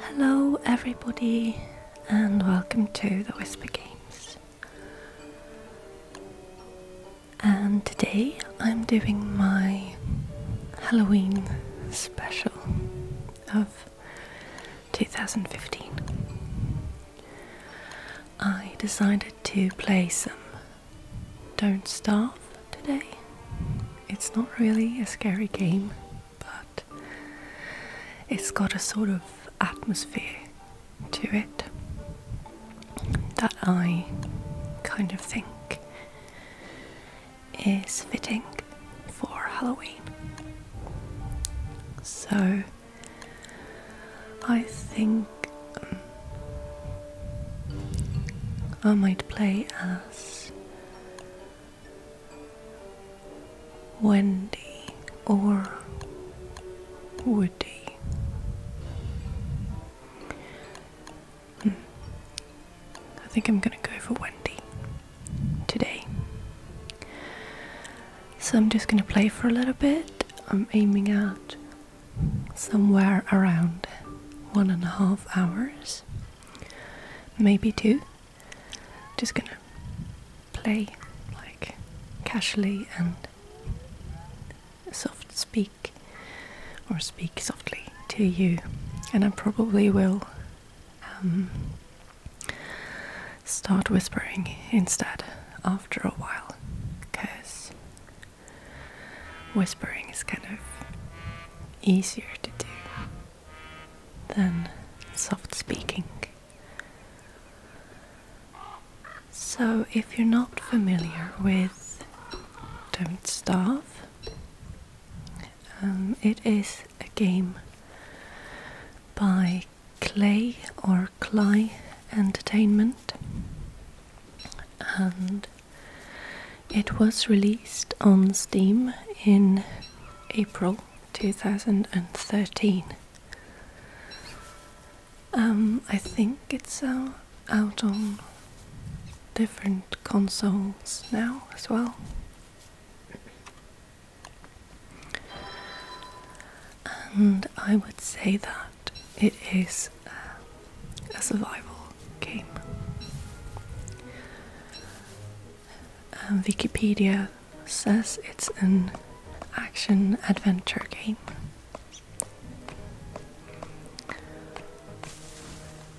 Hello, everybody, and welcome to the Whisper Games. And today I'm doing my Halloween special of 2015. I decided to play some Don't Starve today. It's not really a scary game, but it's got a sort of atmosphere to it that I kind of think is fitting for Halloween. So I think um, I might play as Wendy or Woody. Hmm. I think I'm gonna go for Wendy today. So I'm just gonna play for a little bit. I'm aiming at somewhere around one and a half hours, maybe two. Just gonna play like casually and soft speak or speak softly to you, and I probably will um, start whispering instead after a while because whispering is kind of easier to do than soft speaking. So, if you're not familiar with Don't Starve, um, it is a game by Clay or Cly Entertainment, and it was released on Steam in April 2013. Um, I think it's uh, out on different consoles now as well. And I would say that it is uh, a survival game. Uh, Wikipedia says it's an action adventure game.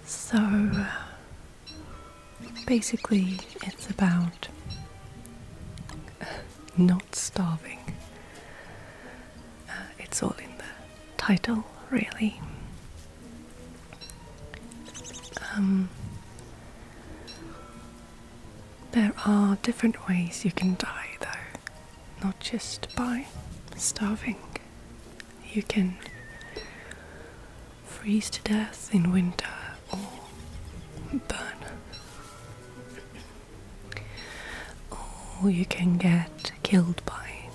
So uh, basically, it's about uh, not starving. Uh, it's all in the title, really. Um, there are different ways you can die, though, not just by starving. You can freeze to death in winter or burn or you can get killed by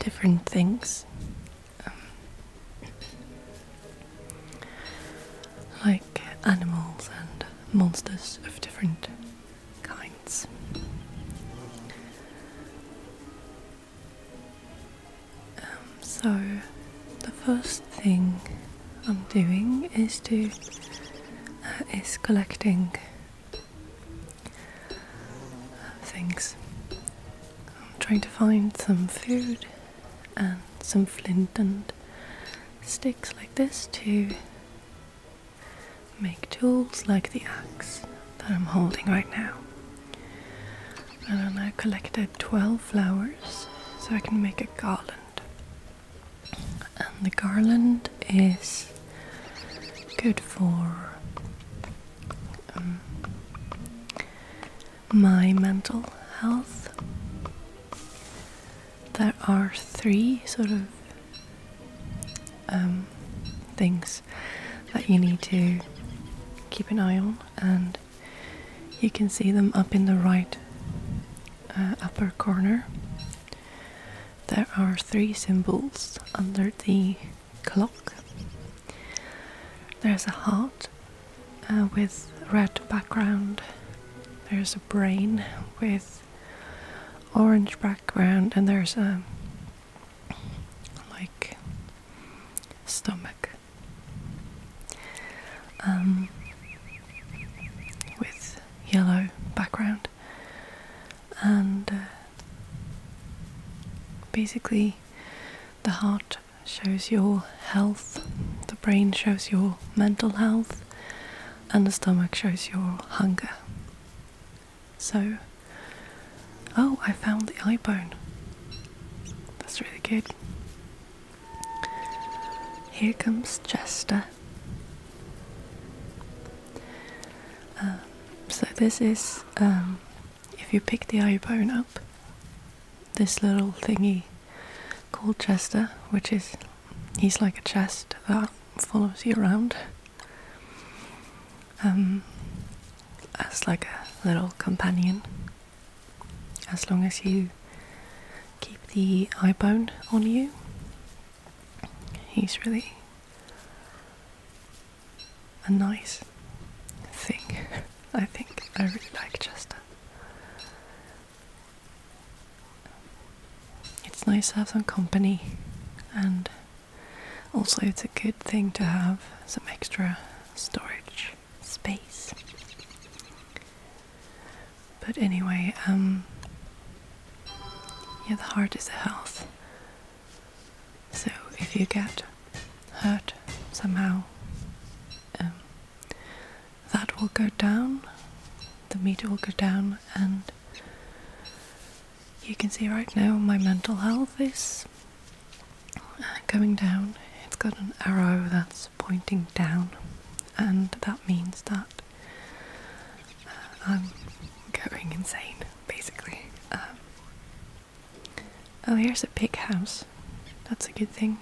different things. Um, like animals and monsters of different kinds. Um, so, the first thing I'm doing is to uh, is collecting things. I'm trying to find some food and some flint and sticks like this to make tools like the axe that I'm holding right now. And I collected 12 flowers so I can make a garland and the garland is good for um, my mental health. There are three sort of um, things that you need to keep an eye on, and you can see them up in the right uh, upper corner there are three symbols under the clock. There's a heart uh, with red background. There's a brain with orange background, and there's a like stomach um, with yellow background and uh, basically the heart shows your health, the brain shows your mental health, and the stomach shows your hunger. So, oh, I found the eye bone. That's really good. Here comes Jester. Um, so this is um, if you pick the eye bone up, this little thingy called Chester, which is he's like a chest that follows you around. Um, as like a little companion, as long as you keep the eye bone on you, he's really a nice thing. I think I really like Chester. It's nice to have some company, and also it's a good thing to have some extra storage space. But anyway, um, yeah, the heart is the health. So if you get hurt somehow, um, that will go down, the meter will go down, and you can see right now my mental health is uh, going down. It's got an arrow that's pointing down, and that means that uh, I'm going insane, basically. Um, oh, here's a big house. That's a good thing.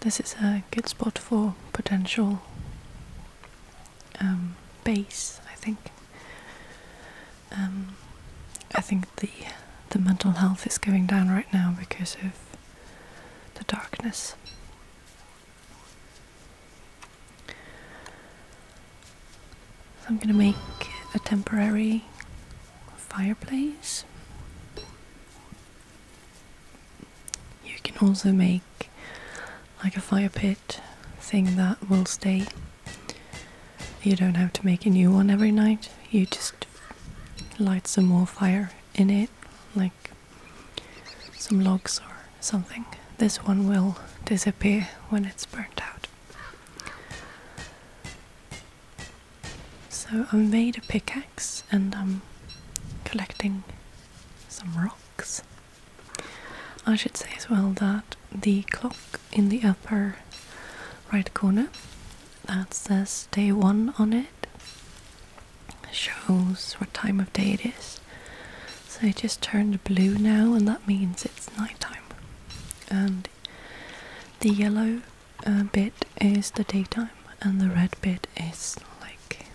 This is a good spot for potential um, base, I think. Um, I think the the mental health is going down right now because of the darkness. I'm going to make a temporary fireplace. You can also make like a fire pit thing that will stay. You don't have to make a new one every night, you just light some more fire in it, like some logs or something. This one will disappear when it's burnt out. So I made a pickaxe and I'm collecting some rocks. I should say as well that the clock in the upper right corner that says day one on it shows what time of day it is so it just turned blue now, and that means it's nighttime. And the yellow uh, bit is the daytime, and the red bit is like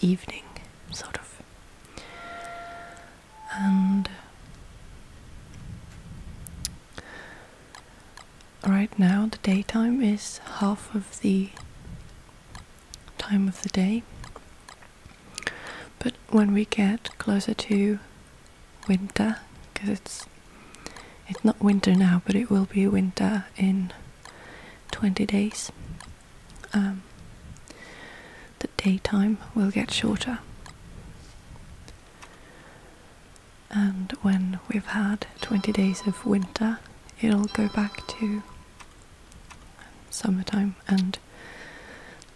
evening, sort of. And right now, the daytime is half of the time of the day, but when we get closer to winter, because it's it's not winter now, but it will be winter in 20 days. Um, the daytime will get shorter. And when we've had 20 days of winter, it'll go back to summertime and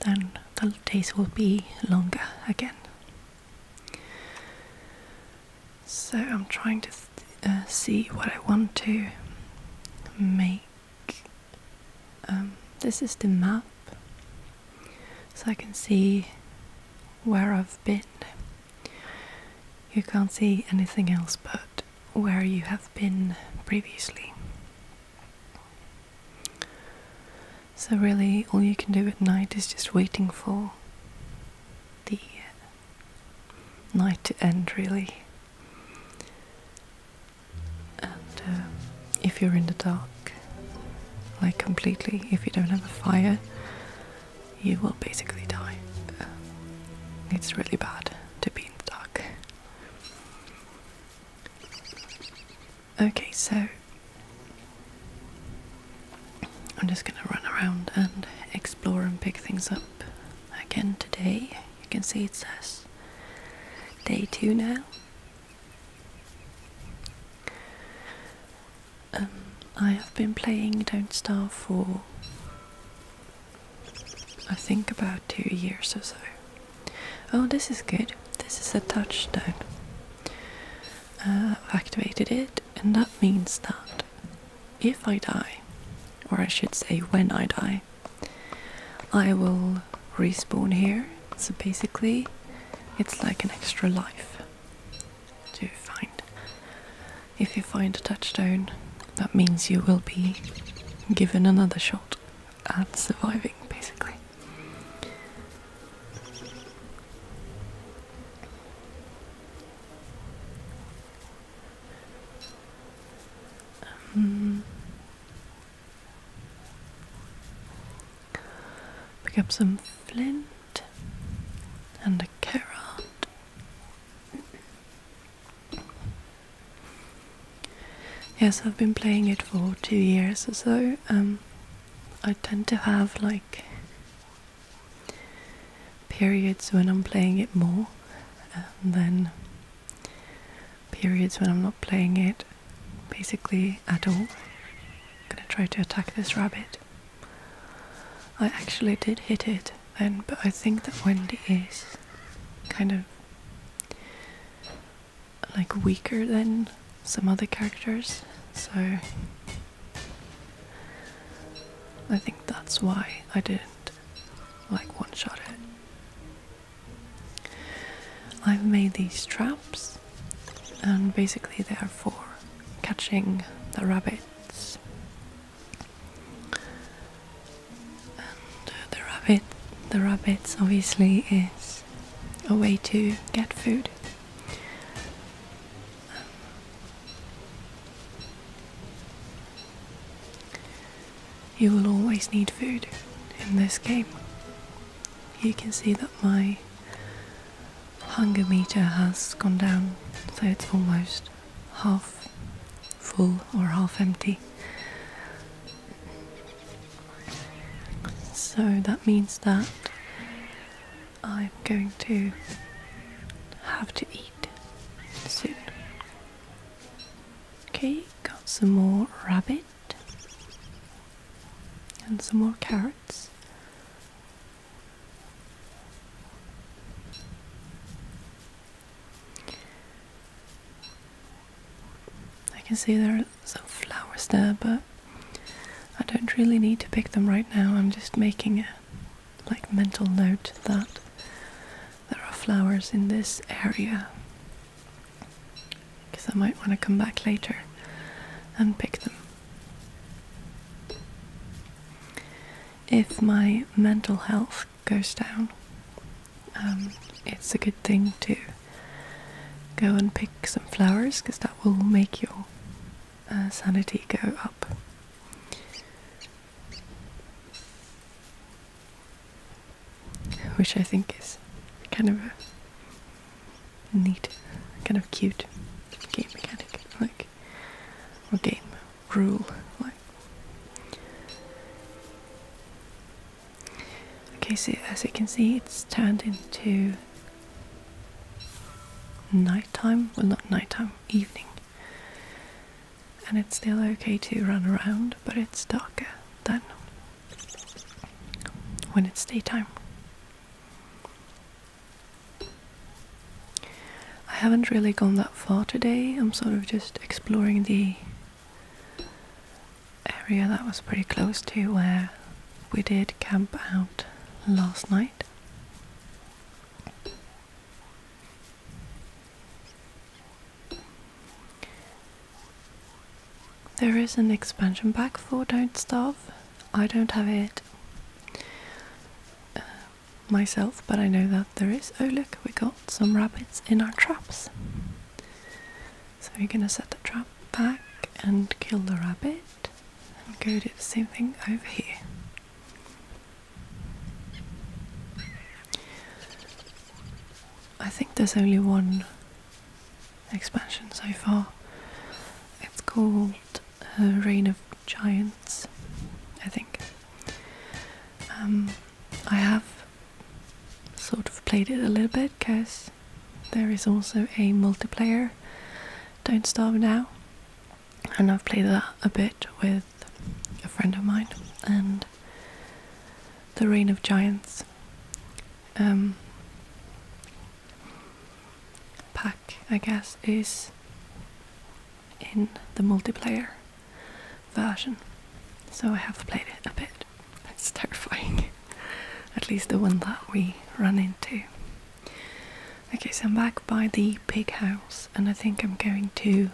then the days will be longer again. So I'm trying to uh, see what I want to make. Um, this is the map, so I can see where I've been. You can't see anything else but where you have been previously. So, really, all you can do at night is just waiting for the night to end, really. And uh, if you're in the dark, like completely, if you don't have a fire, you will basically die. it's really bad to be in the dark. Okay, so I'm just going to run around and explore and pick things up again today. You can see it says day two now. Um, I have been playing Don't Starve for I think about two years or so. Oh, this is good. This is a touchdown. I've uh, activated it, and that means that if I die, or I should say when I die, I will respawn here. So basically, it's like an extra life to find. If you find a touchdown, that means you will be given another shot at surviving, basically. Um, pick up some flint and a carrot. Yes, I've been playing it for two years or so. Um, I tend to have like periods when I'm playing it more, and then periods when I'm not playing it basically at all. I'm gonna try to attack this rabbit. I actually did hit it then, but I think that Wendy is kind of like weaker than some other characters, so I think that's why I didn't like one shot it. I've made these traps, and basically, they are for catching the rabbits. And the rabbit, the rabbits obviously is a way to get food. You will always need food in this game. You can see that my hunger meter has gone down, so it's almost half full or half empty. So that means that I'm going to have to eat soon. Okay, got some more rabbit and some more carrots. I can see there are some flowers there, but I don't really need to pick them right now. I'm just making a like mental note that there are flowers in this area because I might want to come back later and pick them. If my mental health goes down, um, it's a good thing to go and pick some flowers because that will make your uh, sanity go up. Which I think is kind of a neat, kind of cute game mechanic, like, or game rule, like. Okay, so as you can see, it's turned into nighttime. Well, not nighttime, evening. And it's still okay to run around, but it's darker than when it's daytime. I haven't really gone that far today. I'm sort of just exploring the area that was pretty close to where we did camp out last night. There is an expansion pack for Don't Starve. I don't have it uh, myself, but I know that there is. Oh, look, we got some rabbits in our traps. So we're gonna set the trap back and kill the rabbit and go do the same thing over here. I think there's only one expansion so far. It's called uh, Reign of Giants, I think. Um, I have sort of played it a little bit because there is also a multiplayer Don't Starve Now, and I've played that a bit with a friend of mine and The Reign of Giants um, pack, I guess, is in the multiplayer version, so I have played it a bit. It's terrifying. At least the one that we run into. Okay, so I'm back by the pig house, and I think I'm going to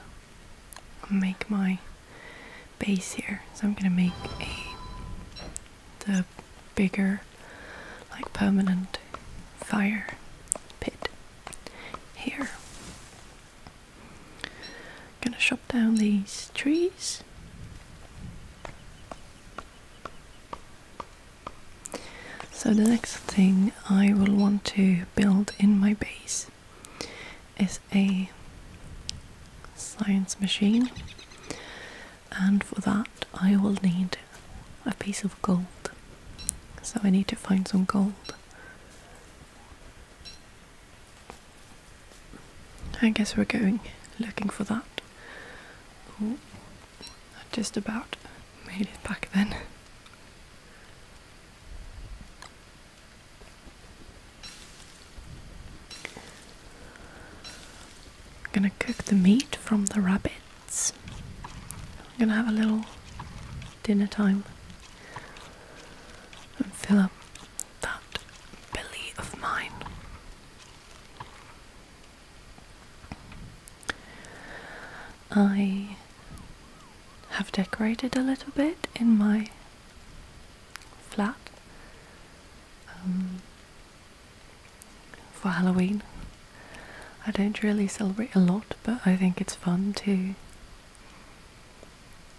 make my base here. So I'm gonna make a the bigger, like permanent fire pit here. I'm gonna shop down these trees. So the next thing I will want to build in my base is a science machine and for that I will need a piece of gold. So I need to find some gold. I guess we're going looking for that. I just about made it back then. I'm gonna cook the meat from the rabbits. I'm gonna have a little dinner time and fill up that belly of mine. I have decorated a little bit in my flat um, for Halloween. I don't really celebrate a lot, but I think it's fun to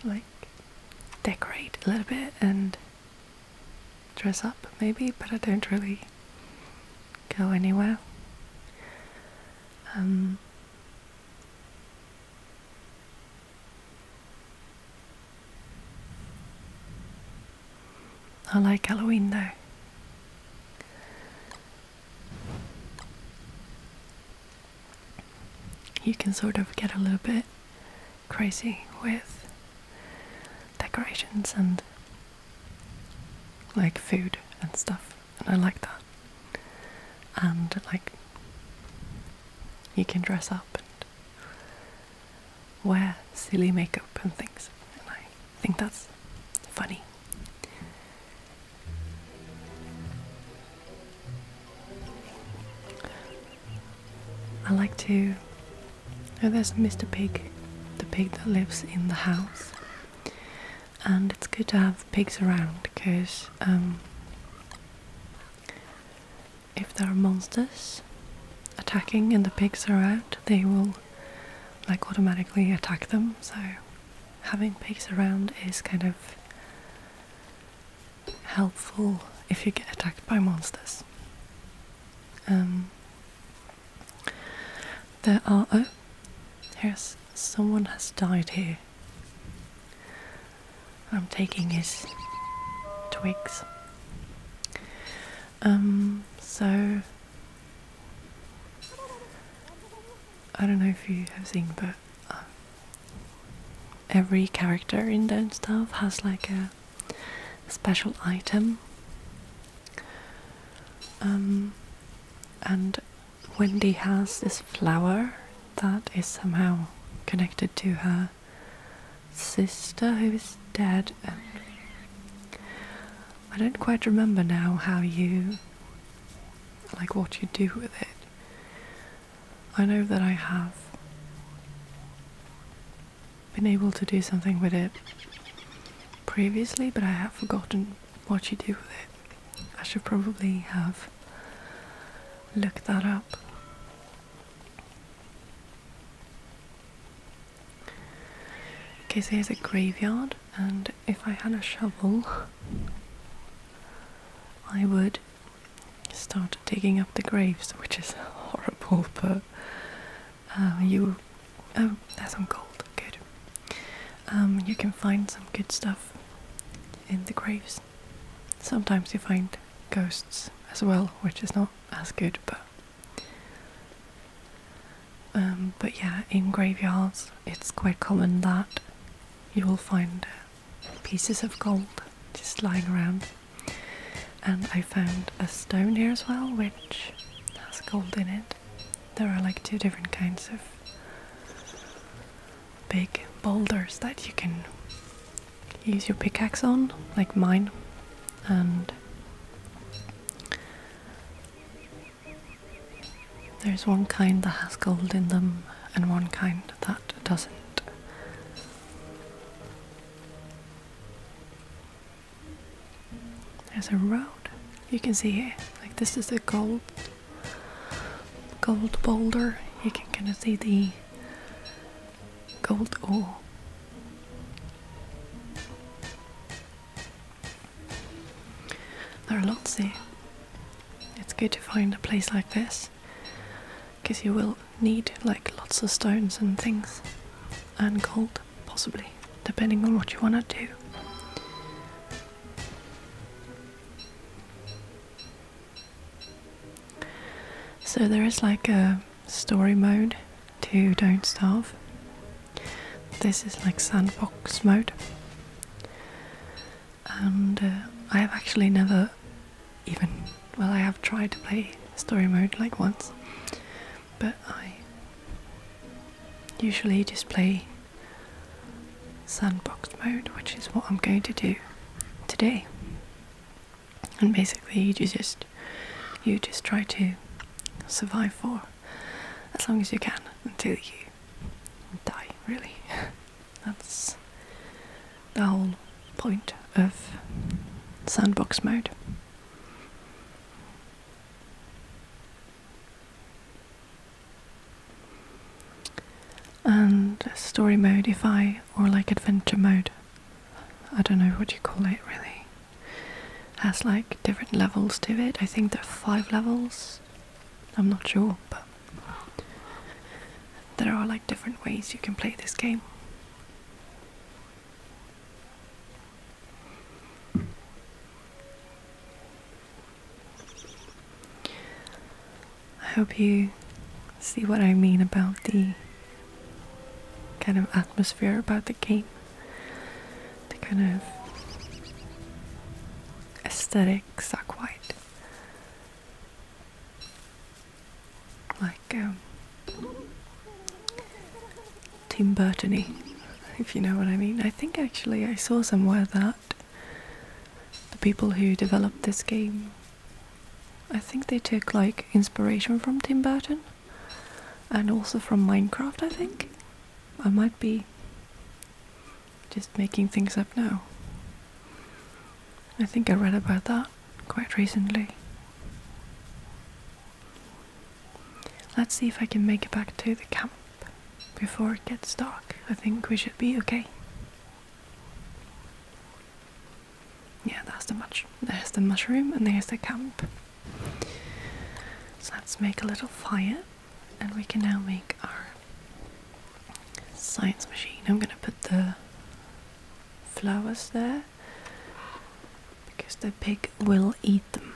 like decorate a little bit and dress up maybe, but I don't really go anywhere. Um, I like Halloween though. You can sort of get a little bit crazy with decorations and like food and stuff, and I like that. And like, you can dress up and wear silly makeup and things, and I think that's funny. I like to Oh, there's Mr. Pig, the pig that lives in the house. And it's good to have pigs around because um, if there are monsters attacking and the pigs are out, they will like automatically attack them. So having pigs around is kind of helpful if you get attacked by monsters. Um, there are. Oh, here's someone has died here. I'm taking his twigs. Um, so. I don't know if you have seen, but uh, every character in Don't Starve has like a special item. Um, and Wendy has this flower that is somehow connected to her sister who is dead. I don't quite remember now how you like what you do with it. I know that I have been able to do something with it previously, but I have forgotten what you do with it. I should probably have looked that up. Okay, so a graveyard, and if I had a shovel, I would start digging up the graves, which is horrible, but uh, you, oh, some gold. Good. Um, you can find some good stuff in the graves. Sometimes you find ghosts as well, which is not as good, but. Um, but yeah, in graveyards, it's quite common that you will find uh, pieces of gold just lying around. And I found a stone here as well, which has gold in it. There are like two different kinds of big boulders that you can use your pickaxe on, like mine. And there's one kind that has gold in them, and one kind that doesn't. There's a road. You can see here, like this is a gold gold boulder. You can kind of see the gold ore. There are lots here. It's good to find a place like this because you will need like lots of stones and things and gold possibly, depending on what you want to do. So there is like a story mode to Don't Starve. This is like sandbox mode. And uh, I have actually never even, well, I have tried to play story mode like once, but I usually just play sandbox mode, which is what I'm going to do today. And basically, you just you just try to survive for as long as you can until you die. Really, that's the whole point of sandbox mode. And story mode, if I, or like adventure mode, I don't know what you call it really, has like different levels to it. I think there are five levels, I'm not sure, but there are like different ways you can play this game. I hope you see what I mean about the kind of atmosphere about the game, the kind of aesthetics are quite like go. Um, Tim Burtony, if you know what I mean. I think actually I saw somewhere that the people who developed this game, I think they took like inspiration from Tim Burton and also from Minecraft, I think. I might be just making things up now. I think I read about that quite recently. Let's see if I can make it back to the camp before it gets dark. I think we should be okay. Yeah, that's the much. There's the mushroom and there's the camp. So let's make a little fire and we can now make our science machine. I'm gonna put the flowers there because the pig will eat them.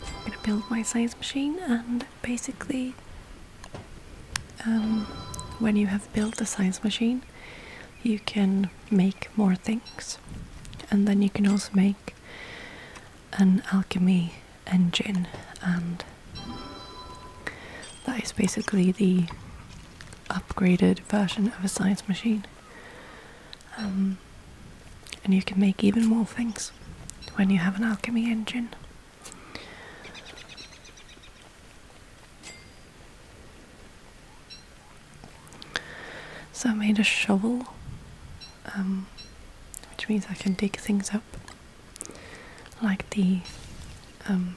I'm gonna build my science machine, and basically, um, when you have built a science machine, you can make more things, and then you can also make an alchemy engine, and that is basically the upgraded version of a science machine. Um, and you can make even more things when you have an alchemy engine. So I made a shovel, um, which means I can dig things up, like the um,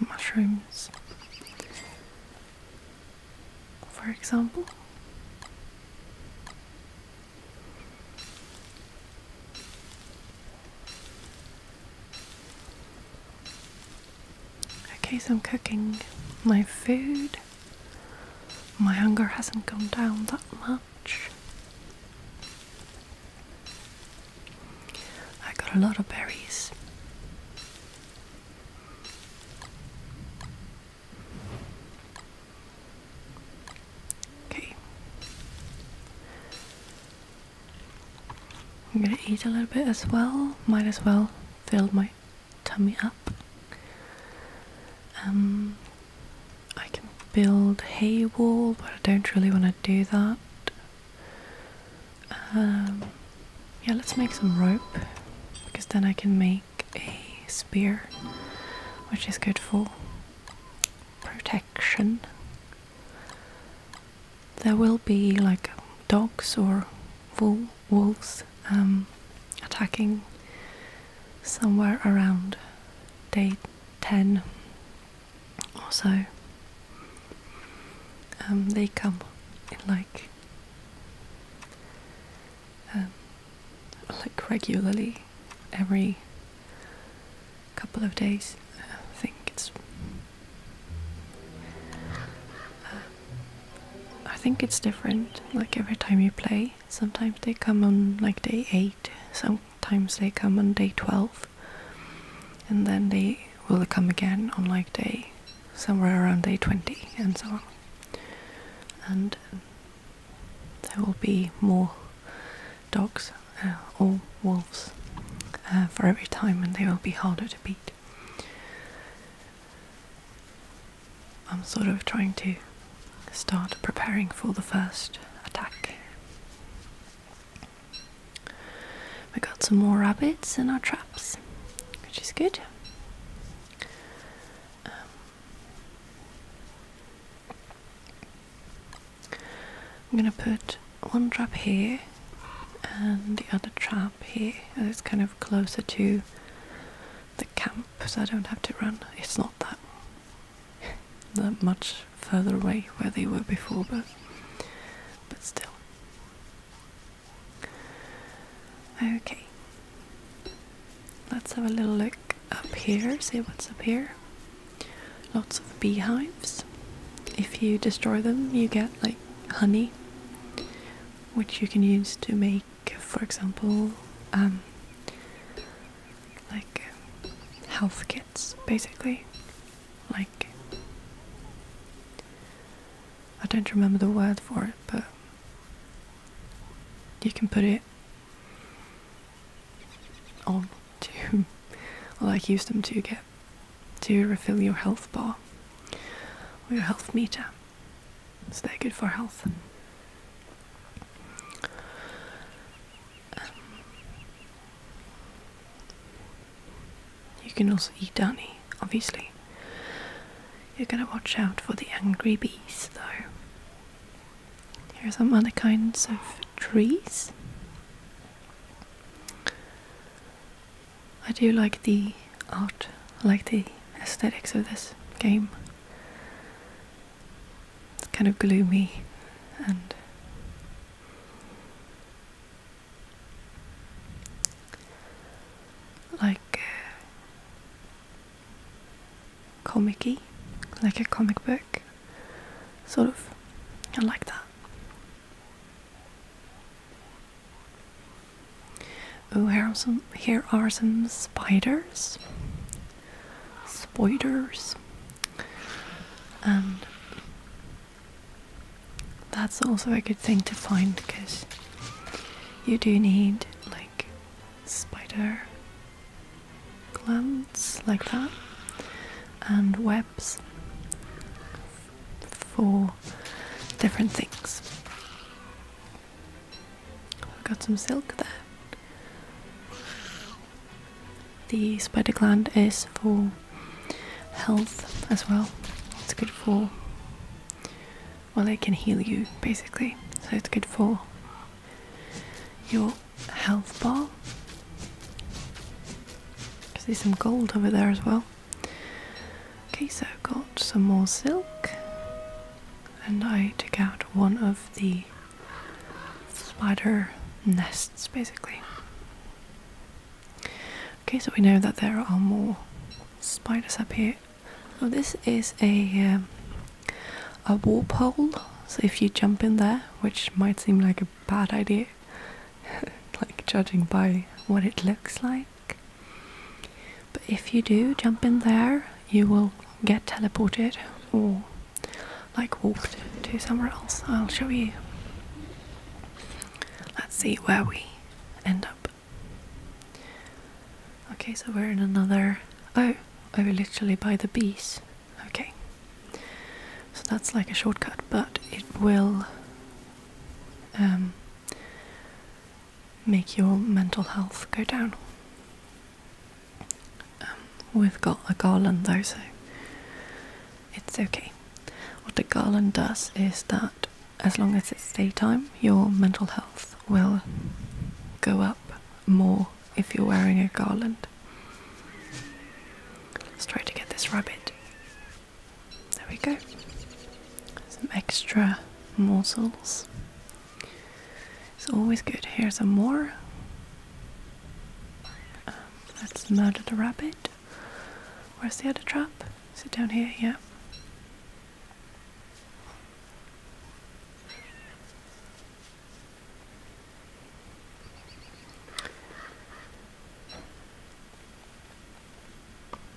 mushrooms, for example. Okay, so I'm cooking my food. My hunger hasn't gone down that much. I got a lot of berries. Okay. I'm gonna eat a little bit as well. Might as well fill my tummy up. Um, I can build hay wall, but I don't really want to do that. Um, yeah, let's make some rope because then I can make a spear, which is good for protection. There will be like dogs or wolves um, attacking somewhere around day 10 also um, they come in like um, like regularly every couple of days I think it's uh, I think it's different like every time you play sometimes they come on like day 8 sometimes they come on day 12 and then they will come again on like day somewhere around day 20 and so on and there will be more dogs uh, or wolves uh, for every time and they will be harder to beat i'm sort of trying to start preparing for the first attack we got some more rabbits in our traps, which is good. Um, I'm going to put one trap here and the other trap here, it's kind of closer to the camp so I don't have to run. It's not that, that much further away where they were before, but, but still. Okay. Let's have a little look up here, see what's up here. Lots of beehives. If you destroy them, you get like honey, which you can use to make, for example, um, like health kits basically like I don't remember the word for it, but you can put it on to or like use them to get to refill your health bar or your health meter. So they're good for health. Um, you can also eat honey, obviously. You gotta watch out for the angry bees, though. Here are some other kinds of trees. I do like the art, like the aesthetics of this game. It's kind of gloomy and like uh, comicy, like a comic book, sort of. I like that. Oh, here are some. Here are some spiders. Spiders. And that's also a good thing to find because you do need like spider glands like that and webs for different things. I've got some silk there. The spider gland is for health as well. It's good for, well, it can heal you basically. So it's good for your health bar. Because there's some gold over there as well. Okay, so I've got some more silk, and I took out one of the spider nests basically. Okay, so we know that there are more spiders up here. this is a um, a warp hole. So if you jump in there, which might seem like a bad idea, like judging by what it looks like, but if you do jump in there, you will get teleported or like walked to somewhere else. I'll show you. Let's see where we end up. Okay, so we're in another. Oh, oh, literally by the bees. Okay. So that's like a shortcut, but it will um, make your mental health go down. Um, we've got a garland though, so it's okay. What the garland does is that as long as it's daytime, your mental health will go up more if you're wearing a garland. Let's try to get this rabbit. There we go. Some extra morsels. It's always good. Here's some more. Um, let's murder the rabbit. Where's the other trap? Is it down here? Yeah.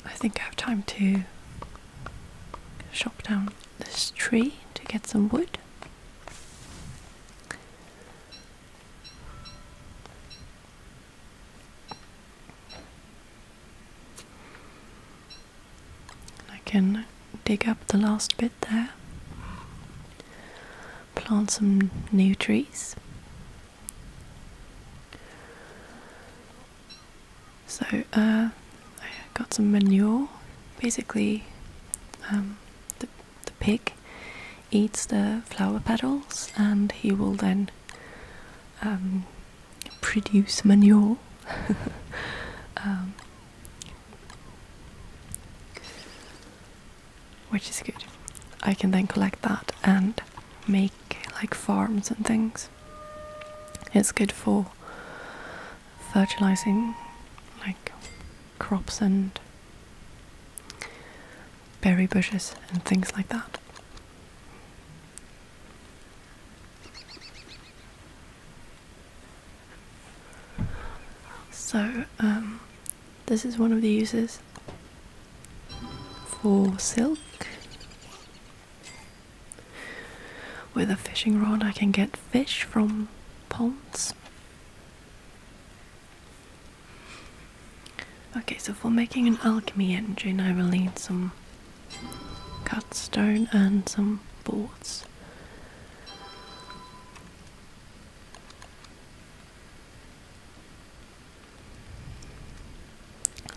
I think I have time to chop down this tree to get some wood. I can dig up the last bit there, plant some new trees. So uh, I got some manure. Basically, um, the, pig eats the flower petals and he will then um, produce manure. Um, which is good. I can then collect that and make like farms and things. It's good for fertilizing like crops and berry bushes and things like that. So, um, this is one of the uses for silk. With a fishing rod, I can get fish from ponds. Okay, so for making an alchemy engine, I will need some cut stone and some boards.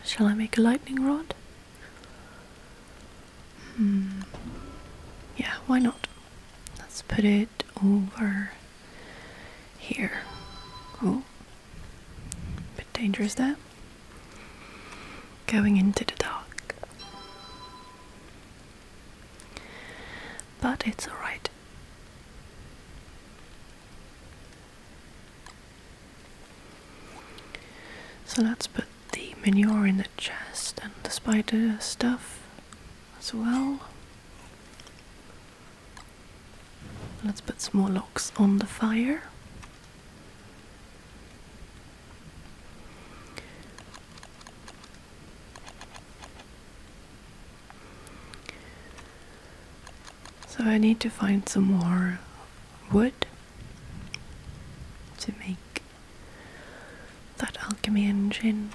Shall I make a lightning rod? Hmm. Yeah, why not? Let's put it over here. Oh, Bit dangerous there. Going into the dark. But it's alright. So let's put the manure in the chest and the spider stuff as well. Let's put some more logs on the fire. So I need to find some more wood to make that alchemy engine.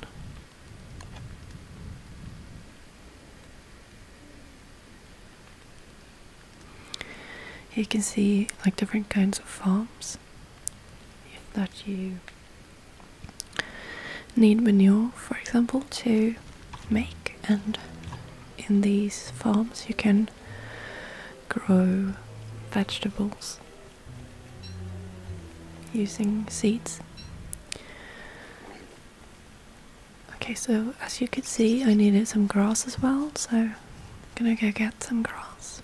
You can see like different kinds of farms that you need manure, for example, to make, and in these farms you can grow vegetables using seeds. Okay, so as you could see, I needed some grass as well, so I'm gonna go get some grass.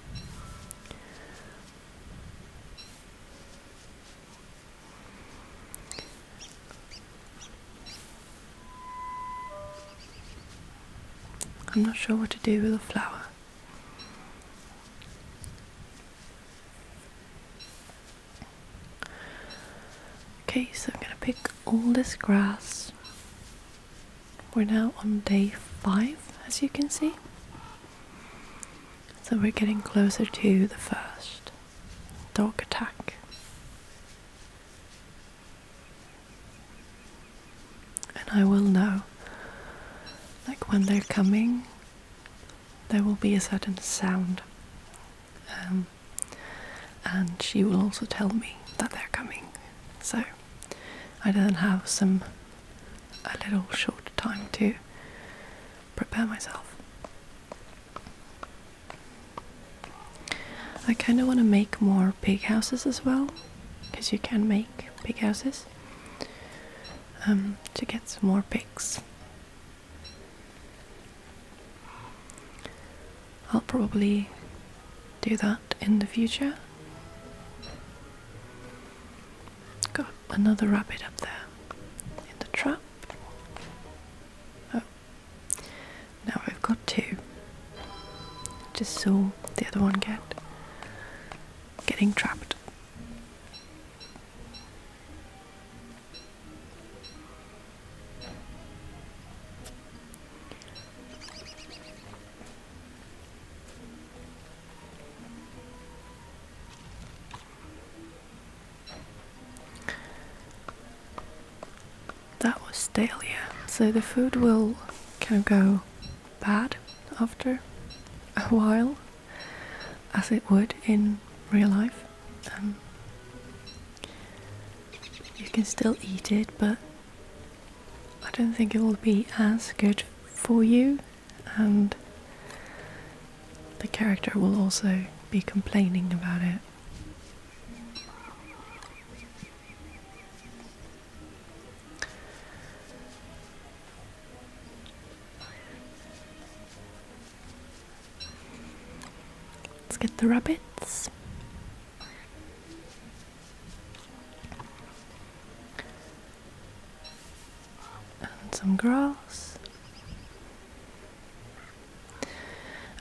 I'm not sure what to do with the flower. Okay, so I'm gonna pick all this grass. We're now on day five, as you can see. So we're getting closer to the first dog attack. And I will know, like when they're coming, there will be a certain sound. Um, and she will also tell me that they're coming. So I then have some a little short time to prepare myself. I kind of want to make more pig houses as well, because you can make pig houses um, to get some more pigs. I'll probably do that in the future. Got another rabbit up there in the trap. Oh, now I've got two. Just saw the other one get getting trapped. That was stale, yeah. So the food will kind of go bad after a while, as it would in real life. Um, you can still eat it, but I don't think it will be as good for you, and the character will also be complaining about it. Let's get the rabbits and some grass.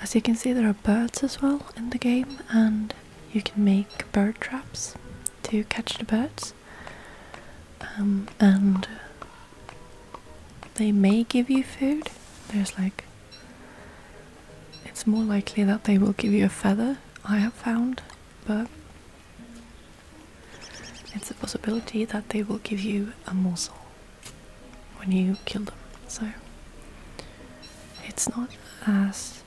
As you can see, there are birds as well in the game, and you can make bird traps to catch the birds. Um, and they may give you food. There's like it's more likely that they will give you a feather, I have found, but it's a possibility that they will give you a morsel when you kill them. So it's not as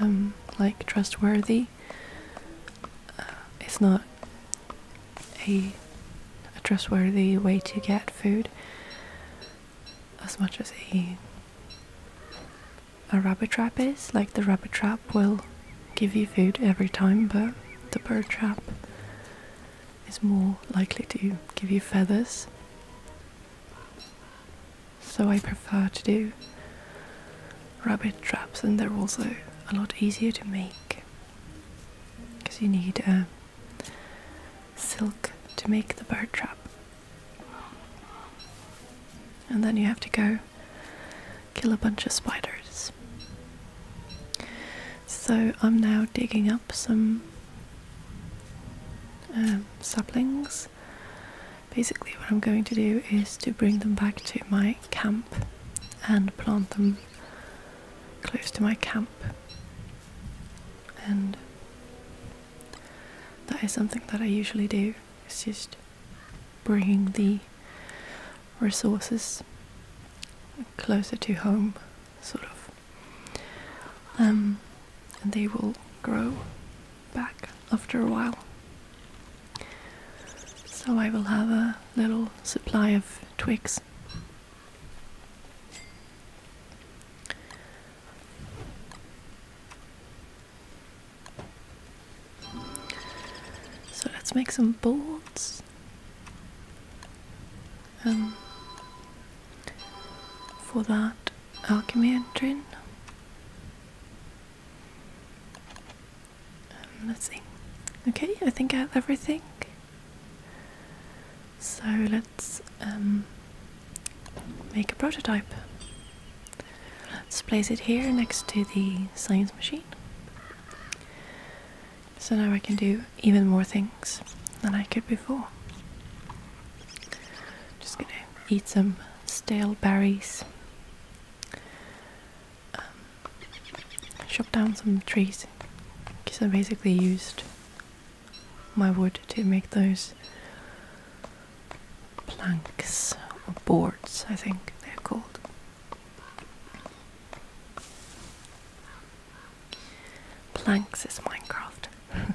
um, like trustworthy. Uh, it's not a, a trustworthy way to get food as much as a a rabbit trap is. Like the rabbit trap will give you food every time, but the bird trap is more likely to give you feathers. So I prefer to do rabbit traps, and they're also a lot easier to make because you need a um, silk to make the bird trap. And then you have to go kill a bunch of spiders. So I'm now digging up some um, saplings. Basically, what I'm going to do is to bring them back to my camp and plant them close to my camp and that is something that I usually do. It's just bringing the resources closer to home, sort of, um, and they will grow back after a while. So I will have a little supply of twigs. So let's make some bolts. Um, for that alchemy engine. Um, let's see. Okay, I think I have everything. So let's um, make a prototype. Let's place it here next to the science machine. So now I can do even more things than I could before. Just gonna eat some stale berries. Um, chop down some trees because I basically used my wood to make those planks or boards, I think they're called. Planks is Minecraft.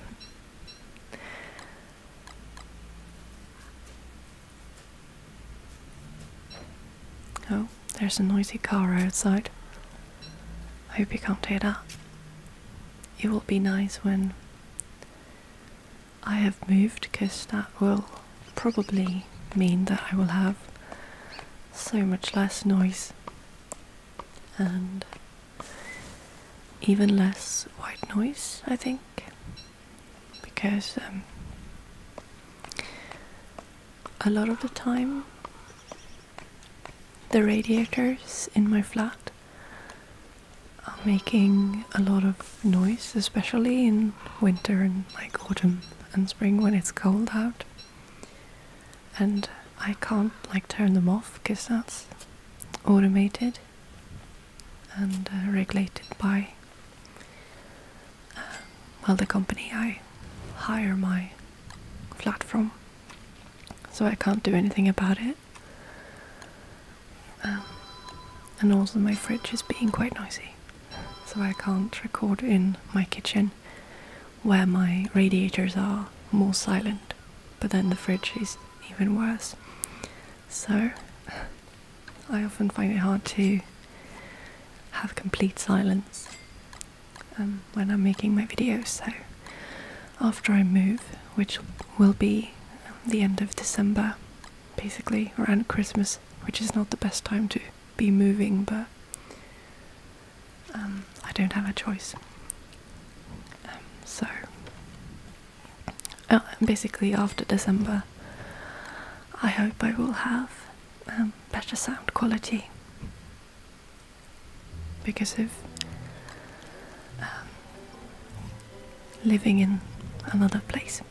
oh, there's a noisy car outside. I hope you can't hear that it will be nice when I have moved because that will probably mean that I will have so much less noise and even less white noise, I think, because um, a lot of the time the radiators in my flat are making a lot of noise, especially in winter and like autumn and spring when it's cold out. And I can't like turn them off because that's automated and uh, regulated by uh, well the company I hire my flat from. So I can't do anything about it. Um, and also, my fridge is being quite noisy, so I can't record in my kitchen where my radiators are more silent, but then the fridge is even worse. So, I often find it hard to have complete silence um, when I'm making my videos, so after I move, which will be the end of December, basically, around Christmas, which is not the best time to be moving, but um, I don't have a choice. Um, so, uh, basically, after December, I hope I will have um, better sound quality because of um, living in another place.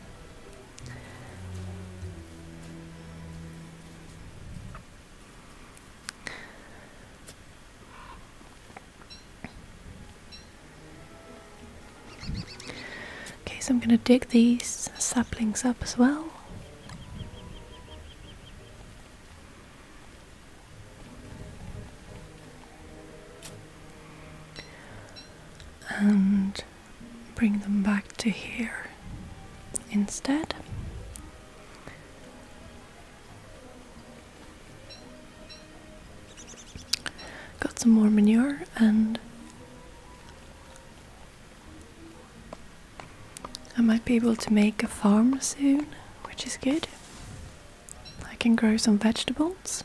Okay, so I'm going to dig these saplings up as well and bring them back to here instead. Got some more manure and I might be able to make a farm soon, which is good. I can grow some vegetables.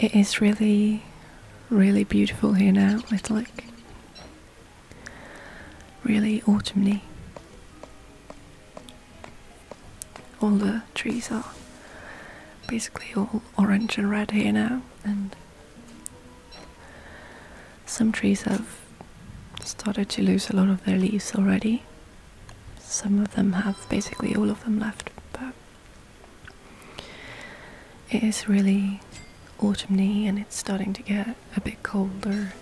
It is really, really beautiful here now. It's like really autumnly. All the trees are basically all orange and red here now, and some trees have started to lose a lot of their leaves already. Some of them have basically all of them left, but it is really autumny and it's starting to get a bit colder.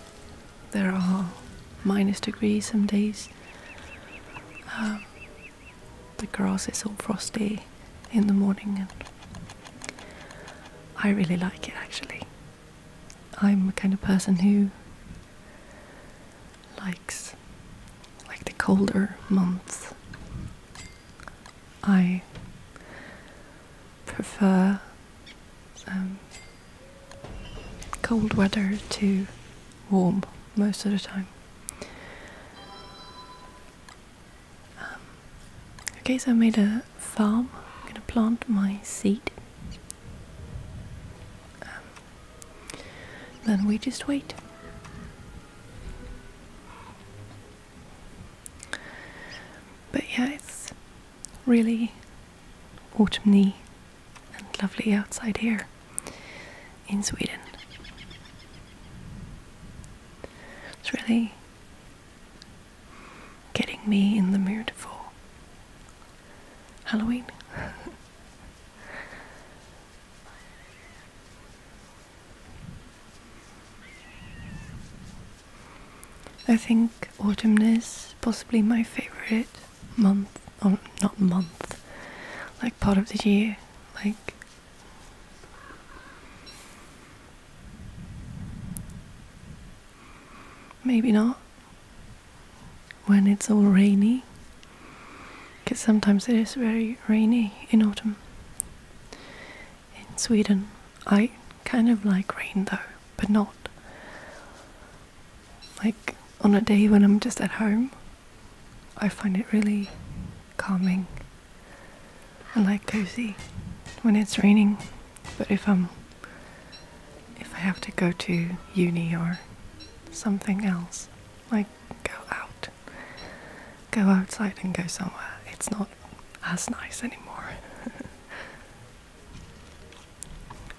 There are minus degrees some days. Um, the grass is all frosty in the morning, and I really like it actually. I'm the kind of person who likes like the colder months. I prefer um, cold weather to warm most of the time. Um, okay, so I made a farm. I'm gonna plant my seed. Um, then we just wait. But yeah, it's really autumny and lovely outside here in Sweden. It's really getting me in the mood for Halloween. I think autumn is possibly my favorite month, or not month, like part of the year. Like, maybe not when it's all rainy, because sometimes it is very rainy in autumn. In Sweden, I kind of like rain though but not like on a day when I'm just at home. I find it really calming and like cozy when it's raining. But if I'm if I have to go to uni or something else, like go out, go outside and go somewhere, it's not as nice anymore.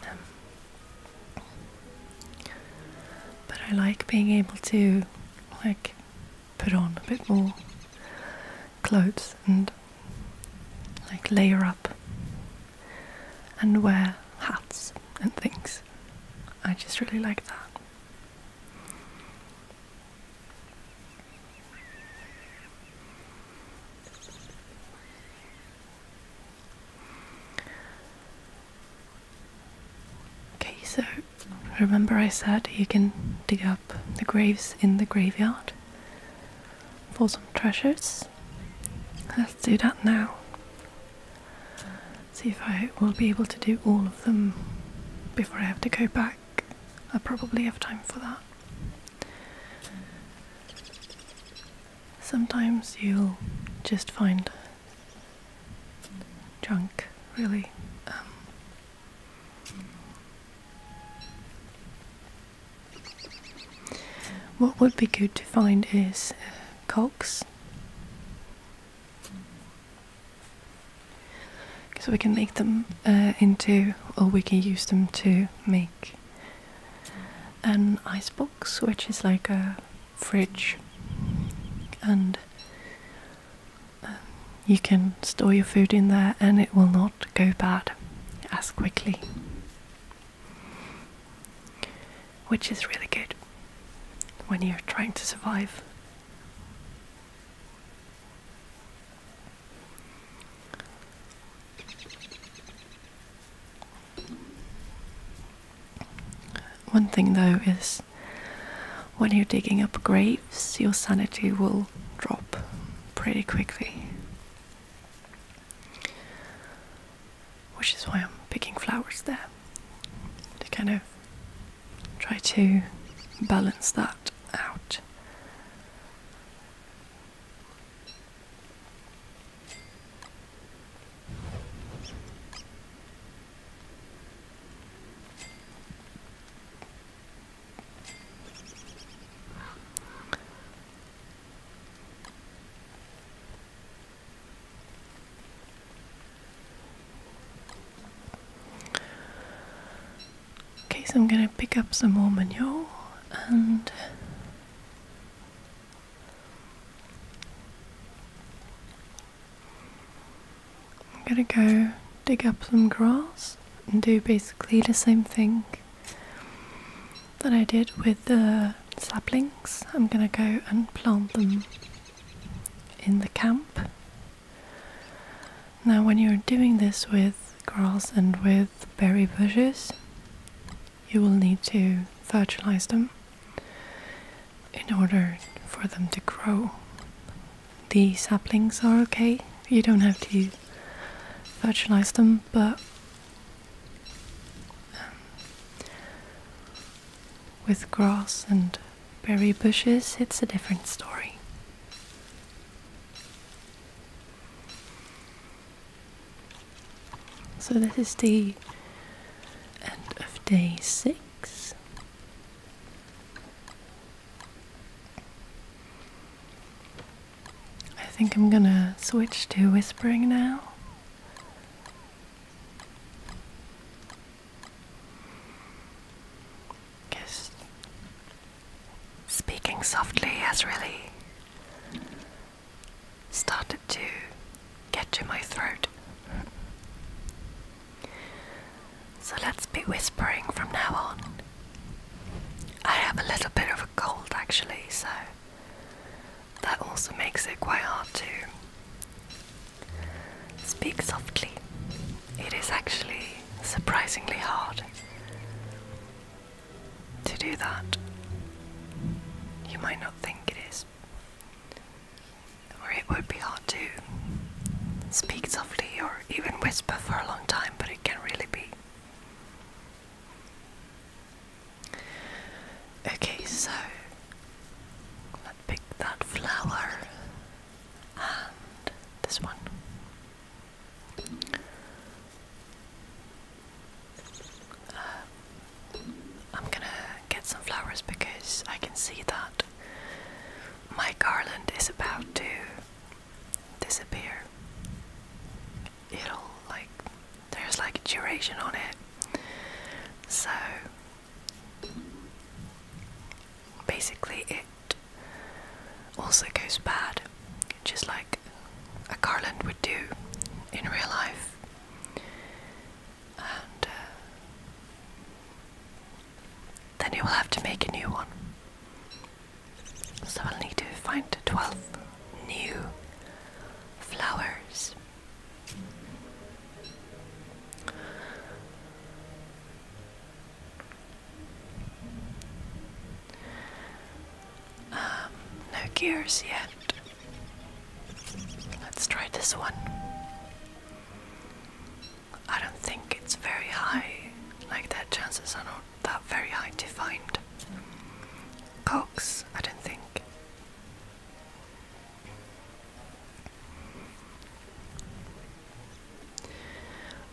Um, but I like being able to like put on a bit more clothes and like layer up and wear hats and things. I just really like that. Okay, so remember I said you can dig up the graves in the graveyard for some treasures? Let's do that now. See if I will be able to do all of them before I have to go back. I probably have time for that. Sometimes you'll just find junk, really. Um, what would be good to find is uh, cocks. So we can make them uh, into, or we can use them to make an icebox, which is like a fridge, and um, you can store your food in there and it will not go bad as quickly, which is really good when you're trying to survive. One thing though is when you're digging up graves, your sanity will drop pretty quickly. Which is why I'm picking flowers there to kind of try to balance that out. Okay, so I'm going to pick up some more manure and I'm gonna go dig up some grass and do basically the same thing that I did with the saplings. I'm gonna go and plant them in the camp. Now, when you're doing this with grass and with berry bushes, you will need to fertilize them in order for them to grow. The saplings are okay, you don't have to fertilize them, but um, with grass and berry bushes, it's a different story. So this is the end of day six. I think I'm gonna switch to whispering now. Because speaking softly as really started to get to my throat. So let's be whispering from now on. I have a little bit of a cold actually, so that also makes it quite hard to speak softly. It is actually surprisingly hard to do that. You might not think it is, or it would be hard to speak softly or even whisper for a long time, but it can really be. Okay, so let's pick that flower and this one. I'm gonna get some flowers because I can see that my garland is about to disappear. It'll like, there's like a duration on it. So basically, it also goes bad just like a garland would do in real life. And uh, then you will have to make a new one. So I'll need to find 12 new flowers. Um, no gears yet. Let's try this one. I don't think it's very high, like that. Chances are not that very high to find. Cogs, I don't think.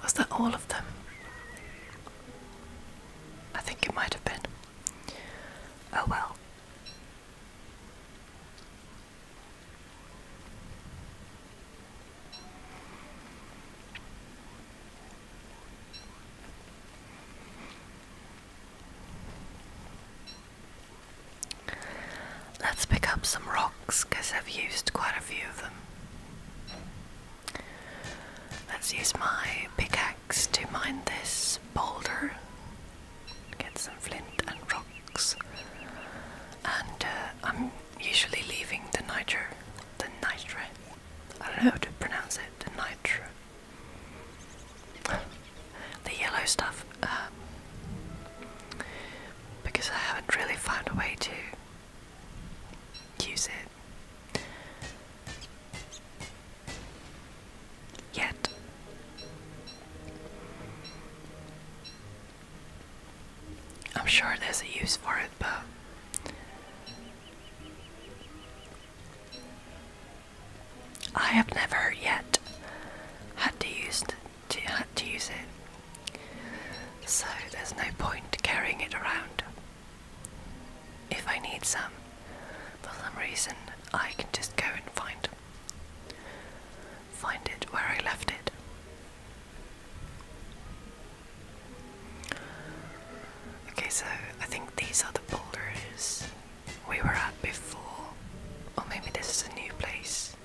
Was that all of them? I think it might have been. Oh well. Let's pick up some rocks because I've used quite a few of them. Let's use my pickaxe axe to mine this boulder. Get some flint and rocks. And uh, I'm usually leaving the nitro, the nitro. I don't know how to pronounce it. The nitro, the yellow stuff. Um, because I haven't really found a way to use it. Yet. I'm sure there's a use for it, but I have never yet had to use had to use it, so there's no point carrying it around. If I need some, for some reason, I can just go and find find it where I left it. Okay, so I think these are the boulders we were at before, or maybe this is a new place.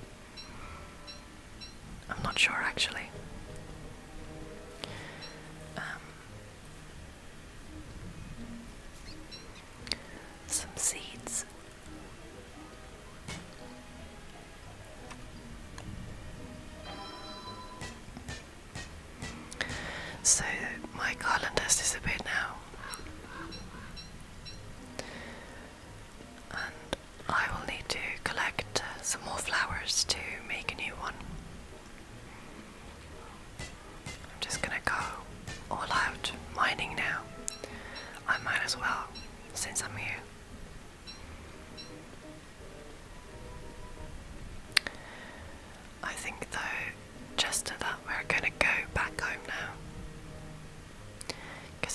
I'm not sure actually. Um, some seeds. So my garland has disappeared now, and I will need to collect some more flowers to make a new one. I'm just gonna go all out mining now. I might as well, since I'm here. I think though, just at that, we're gonna go back home now.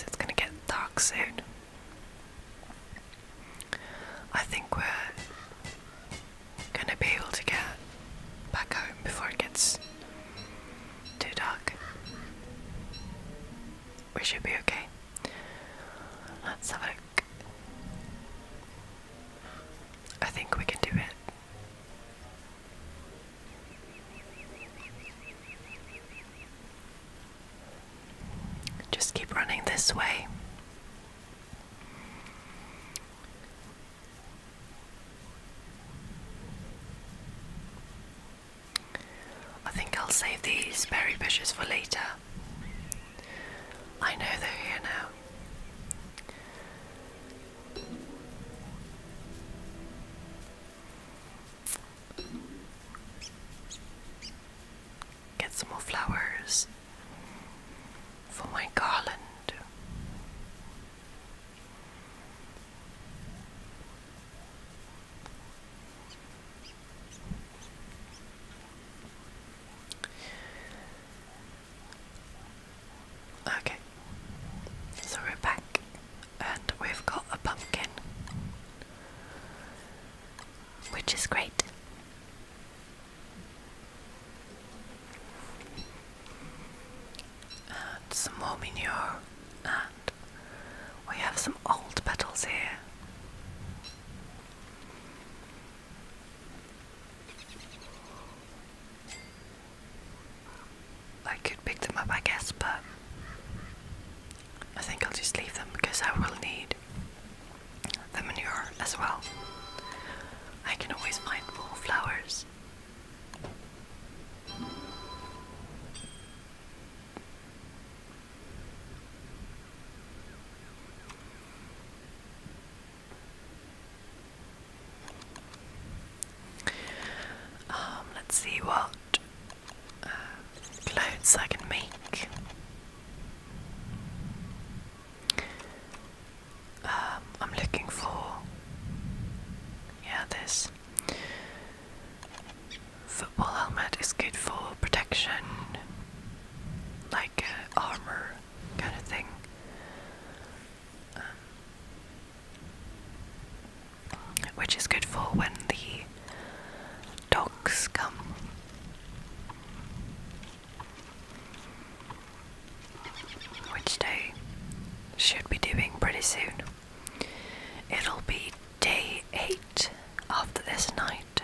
it's gonna get dark soon. I think we're gonna be able to get back home before it gets too dark. We should be okay. Let's have a look. I think we can do it. Just keep running this way. I think I'll save these berry bushes for later. I know they're here now. Get some more flowers for my garland. Okay, so we're back and we've got a pumpkin, which is great and some more manure and we have some old petals here I could pick them up I guess but I think I'll just leave them because I will need the manure as well. I can always find more flowers um, let's see what uh, clothes I can make. Um, I'm looking for yeah this football helmet is good for protection like uh, armor kind of thing um, which is good for when the dogs come which they should be doing pretty soon. It'll be day 8 after this night.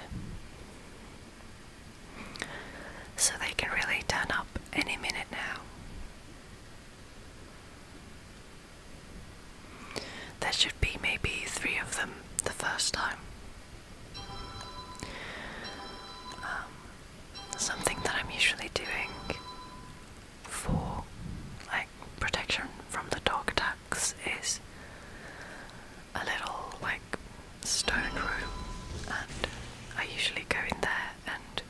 So they can really turn up any minute now. There should be maybe three of them the first time. Um, something that I'm usually doing for like protection from the dog attacks is a little like stone room and I usually go in there and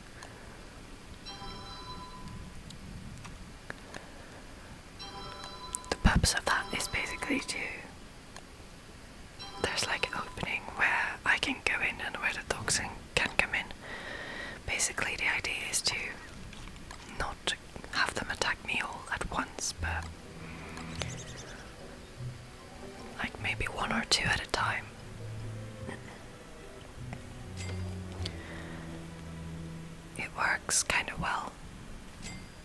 the purpose of that is basically to there's like opening where I can go in and where the dogs can can come in. Basically, the idea is to not have them attack me all at once, but like maybe one or two at a time. It works kind of well.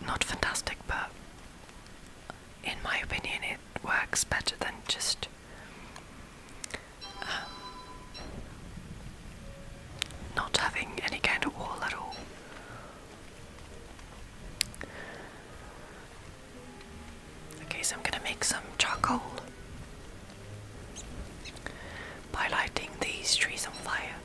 Not fantastic, but in my opinion, it works better than just um, not having any kind of wall at all. Okay, so I'm going to make some charcoal by lighting these trees on fire.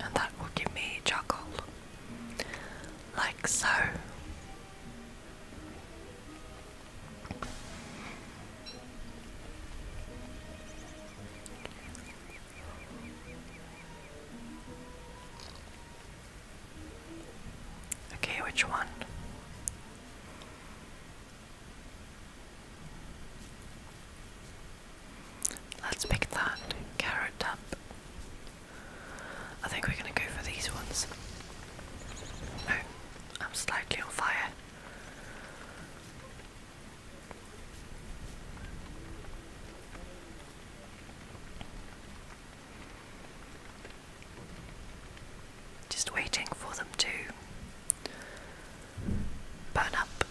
And that will give me charcoal like so. Okay, which one? Let's pick that carrot up. I think we're gonna go for these ones. No, I'm slightly on fire. Just waiting for them to burn up.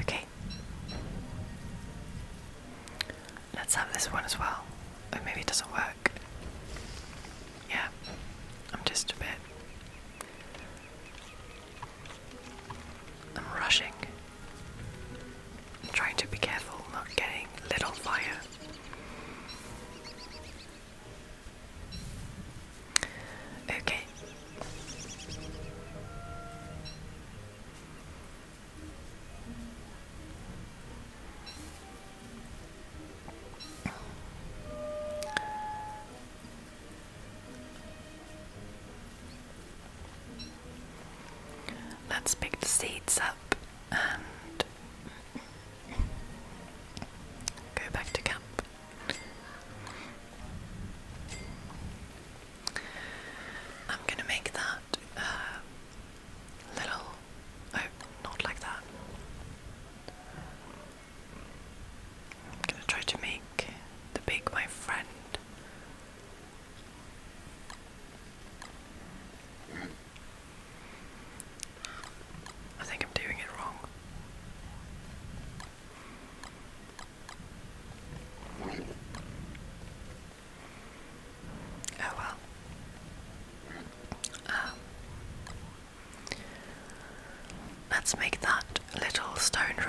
Okay. Let's have this one as well. Oh, maybe it doesn't work. Yeah, I'm just a bit. I'm rushing trying to be careful not getting lit on fire. Okay. Let's pick the seeds up and go back to camp. I'm gonna make that uh, little. Oh, not like that. I'm gonna try to make the pig my friend. I think I'm doing it wrong. Oh well. Um, let's make that little stone room.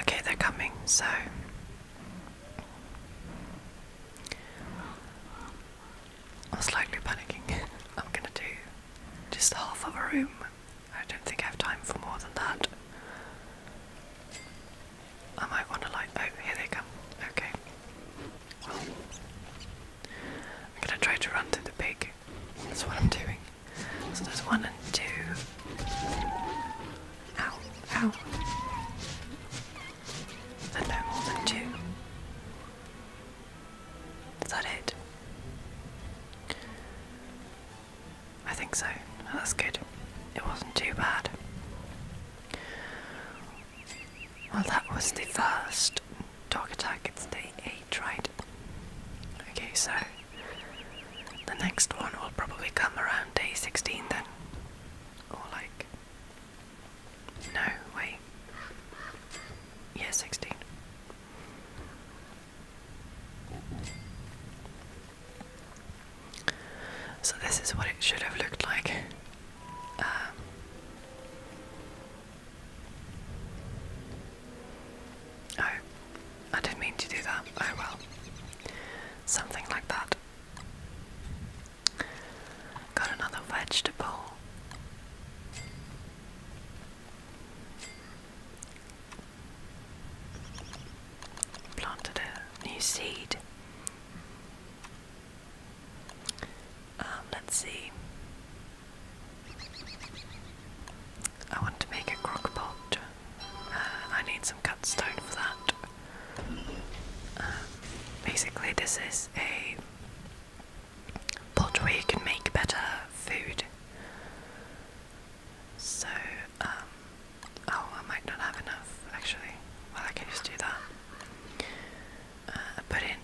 Okay, they're coming, so I'm slightly panicking. I'm gonna do just half of a room. I don't think I have time for more than that. I might want to like. Oh, here they come. Okay. Well, I'm gonna try to run to the pig. That's what I'm doing. So there's one and two. Ow, ow. And no more than two. Is that it? I think so. That's good. It wasn't too bad. Well, that was the first Dog Attack, it's day 8, right? Okay, so the next one will probably come around day 16 then. Or like. No, wait. Yeah, 16. So this is what it should have looked like. Um, Oh, I didn't mean to do that. Oh well. Something like that. Got another vegetable. Planted a new seed. Um, let's see. I want to make a crock uh, I need some cut stone for that. Uh, basically, this is a pot where you can make better food. So, um, oh, I might not have enough actually. Well, I can just do that. Uh, put in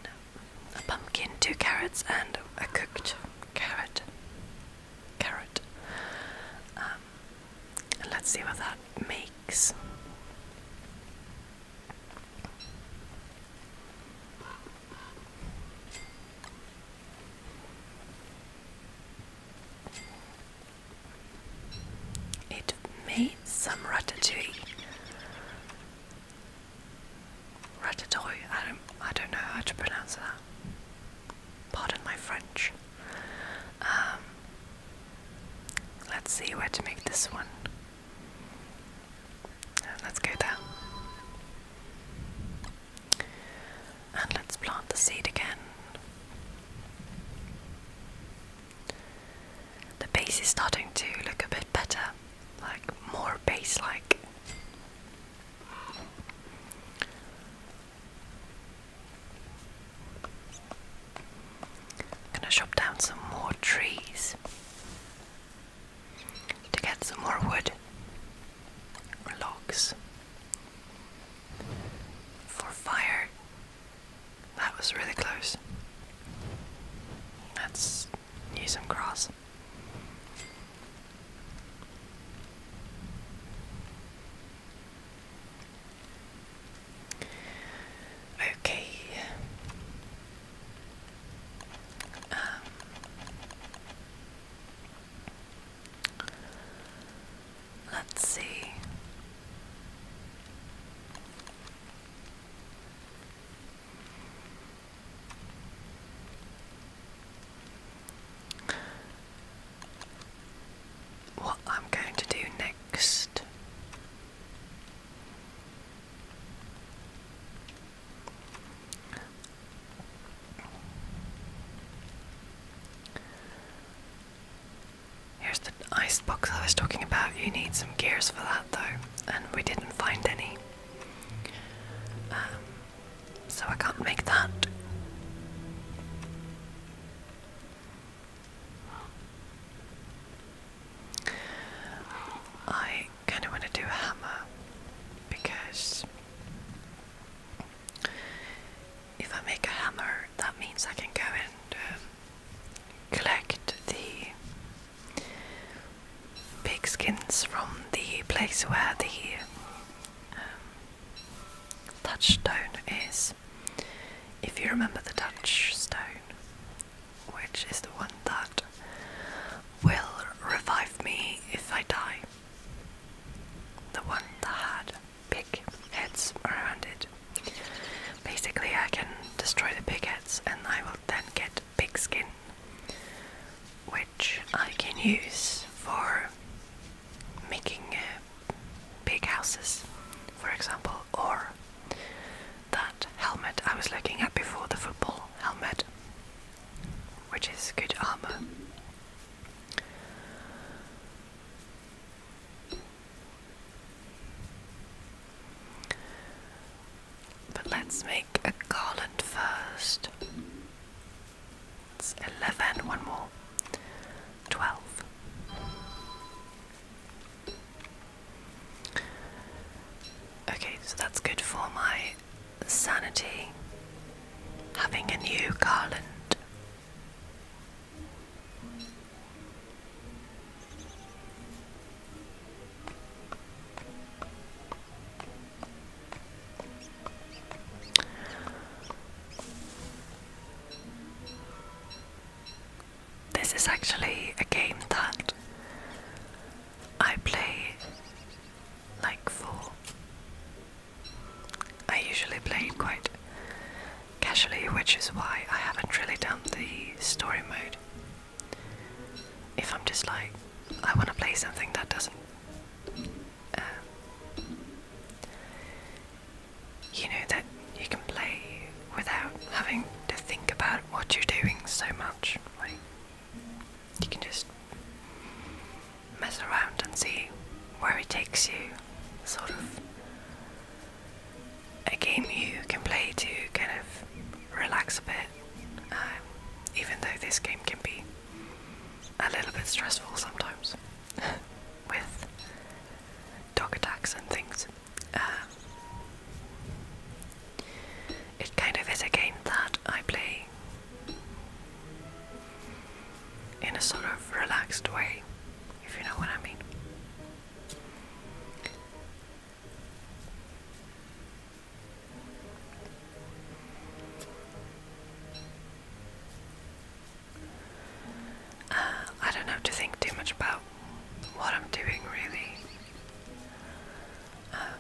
a pumpkin, two carrots, and a cooked carrot. Carrot. Um, let's see what that makes. It made some ratatouille. Ratatouille. I don't. I don't know how to pronounce that. Pardon my French. Um, let's see where to make this one. Uh, let's go down. And let's plant the seed again. The base is starting to look a bit better, like more base like. I'm gonna chop down some more trees to get some more wood or logs for fire. That was really close. That's Need some cross. Okay. Um, let's see. What I'm going to do next Here's the ice box I was talking about. You need some gears for that though, and we didn't find any. Um, so I can't make that. I kind of want to do a hammer because if I make a hammer, that means I can go and um, collect the pigskins from the place where the um, touchstone is. If you remember the touchstone, which is the one that will revive me if I die, the one that had pig heads around it. Basically, I can destroy the pig heads and I will then get pigskin, which which I can use for making uh, big houses, for example, or that helmet I was looking at before, the football helmet, which is good armor. But let's make a garland first. It's 11, one more. 12. Okay, so that's good for my sanity. Having a new garland. This is actually a game that I play like for. I usually play quite casually, which is why I haven't really done the story mode. If I'm just like, I want to play something that doesn't um, you know that you can play without having to think about what you're doing so much. you can just mess around and see where it takes you. Sort of a game you can play to kind of relax a bit. Um, even though this game can be a little bit stressful sometimes with dog attacks and things. Um, it kind of is a game that I play in a sort of relaxed way, if you know what I mean. Uh, I don't have to think too much about what I'm doing, really. Uh,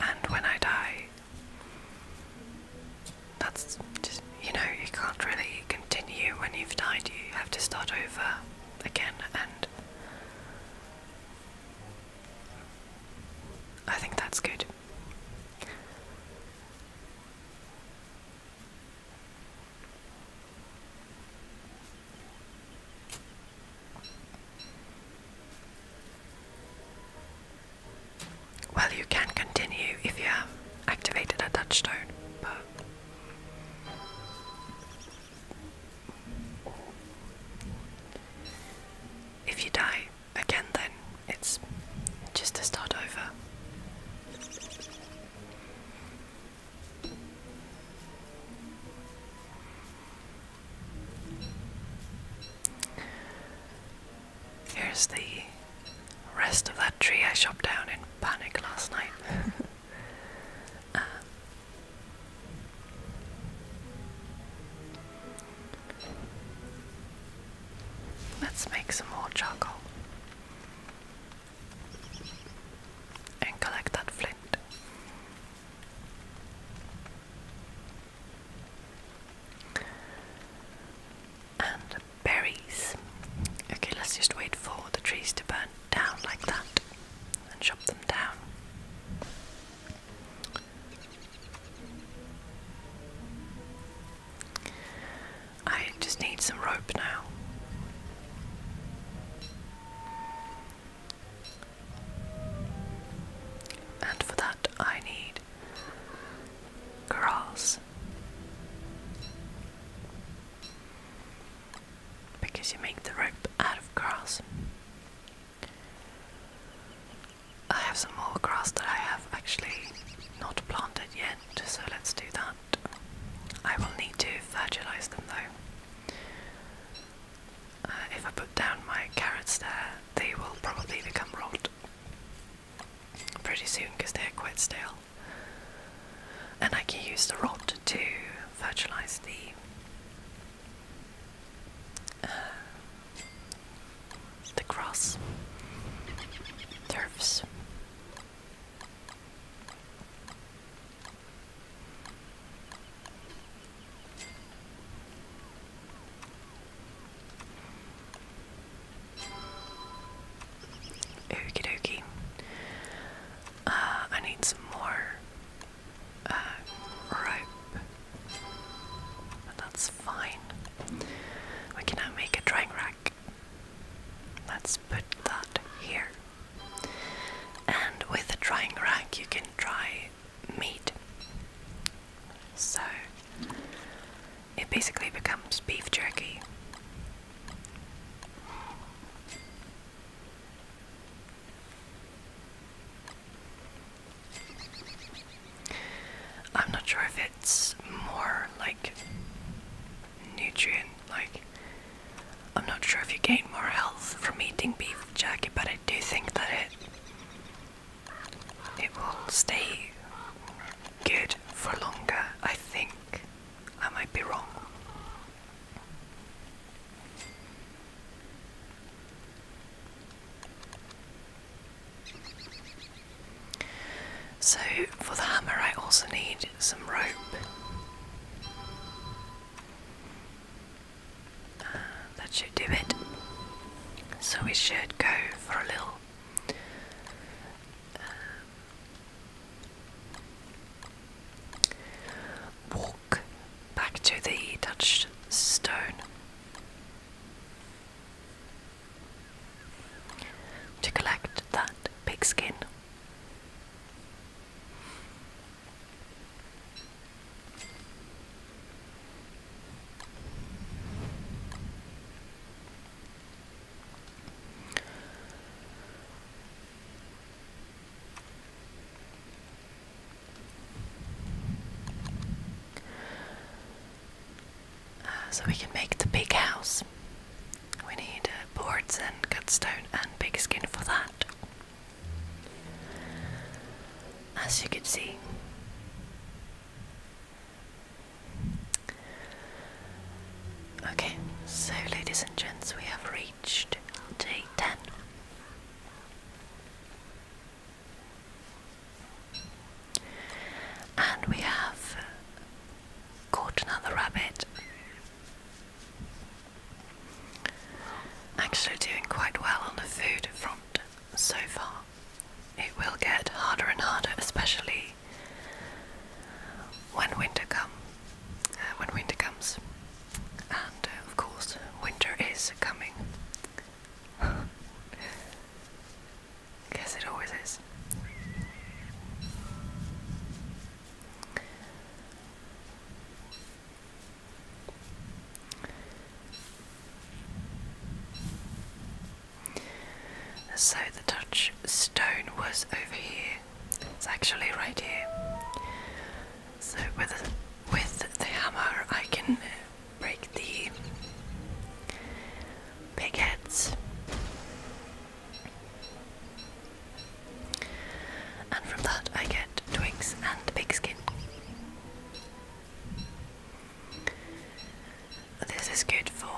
and when I die, that's just, you know, you can't really continue when you've died, you have to start over again, and I think that's good. Well, you can continue if you have activated a touchstone, but. If you die, again, then it's just to start over. Here's the rest of that tree I chopped down in panic last night. Uh, Let's make some more charcoal and collect that flint. And berries. Okay, let's just wait for the trees to burn down like that and chop them down. I just need some rope now. And for that, I need grass. Because you make the rope out of grass. I have some more grass that I have actually not planted yet, so let's do that. I will need to fertilize them though. Uh, if I put down my carrots there, they will probably become rot pretty soon because they're quite stale. And I can use the rot to fertilize the uh, the cross, turfs. Okie dokie. Uh, I need some more uh, rope that's fine. We can now make a drying rack. Let's put that here. And with a drying rack, you can dry meat. So it basically becomes beef jerky. I'm not sure if it's more like nutrient, like, I'm not sure if you gain more health from eating beef jerky, but I do think that it, it will stay good for longer, I think. I might be wrong. So for the hammer I also need some rope. Uh, that should do it. So we should go for a little um, walk back to the Dutch stone to collect that pigskin. Uh, so we can make the big house. We need uh, boards and cut stone and big skin for that. As you can see, okay. So, ladies and gents, we have reached day ten. And we have caught another rabbit. Actually, doing quite well on the food front so far. It will get harder and harder, especially when winter comes. Uh, when winter comes, and uh, of course, winter is coming. Guess it always is. So the stone was over here. It's actually right here. So with with the hammer, I can break the big heads. And from that, I get twigs and the skin. This is good for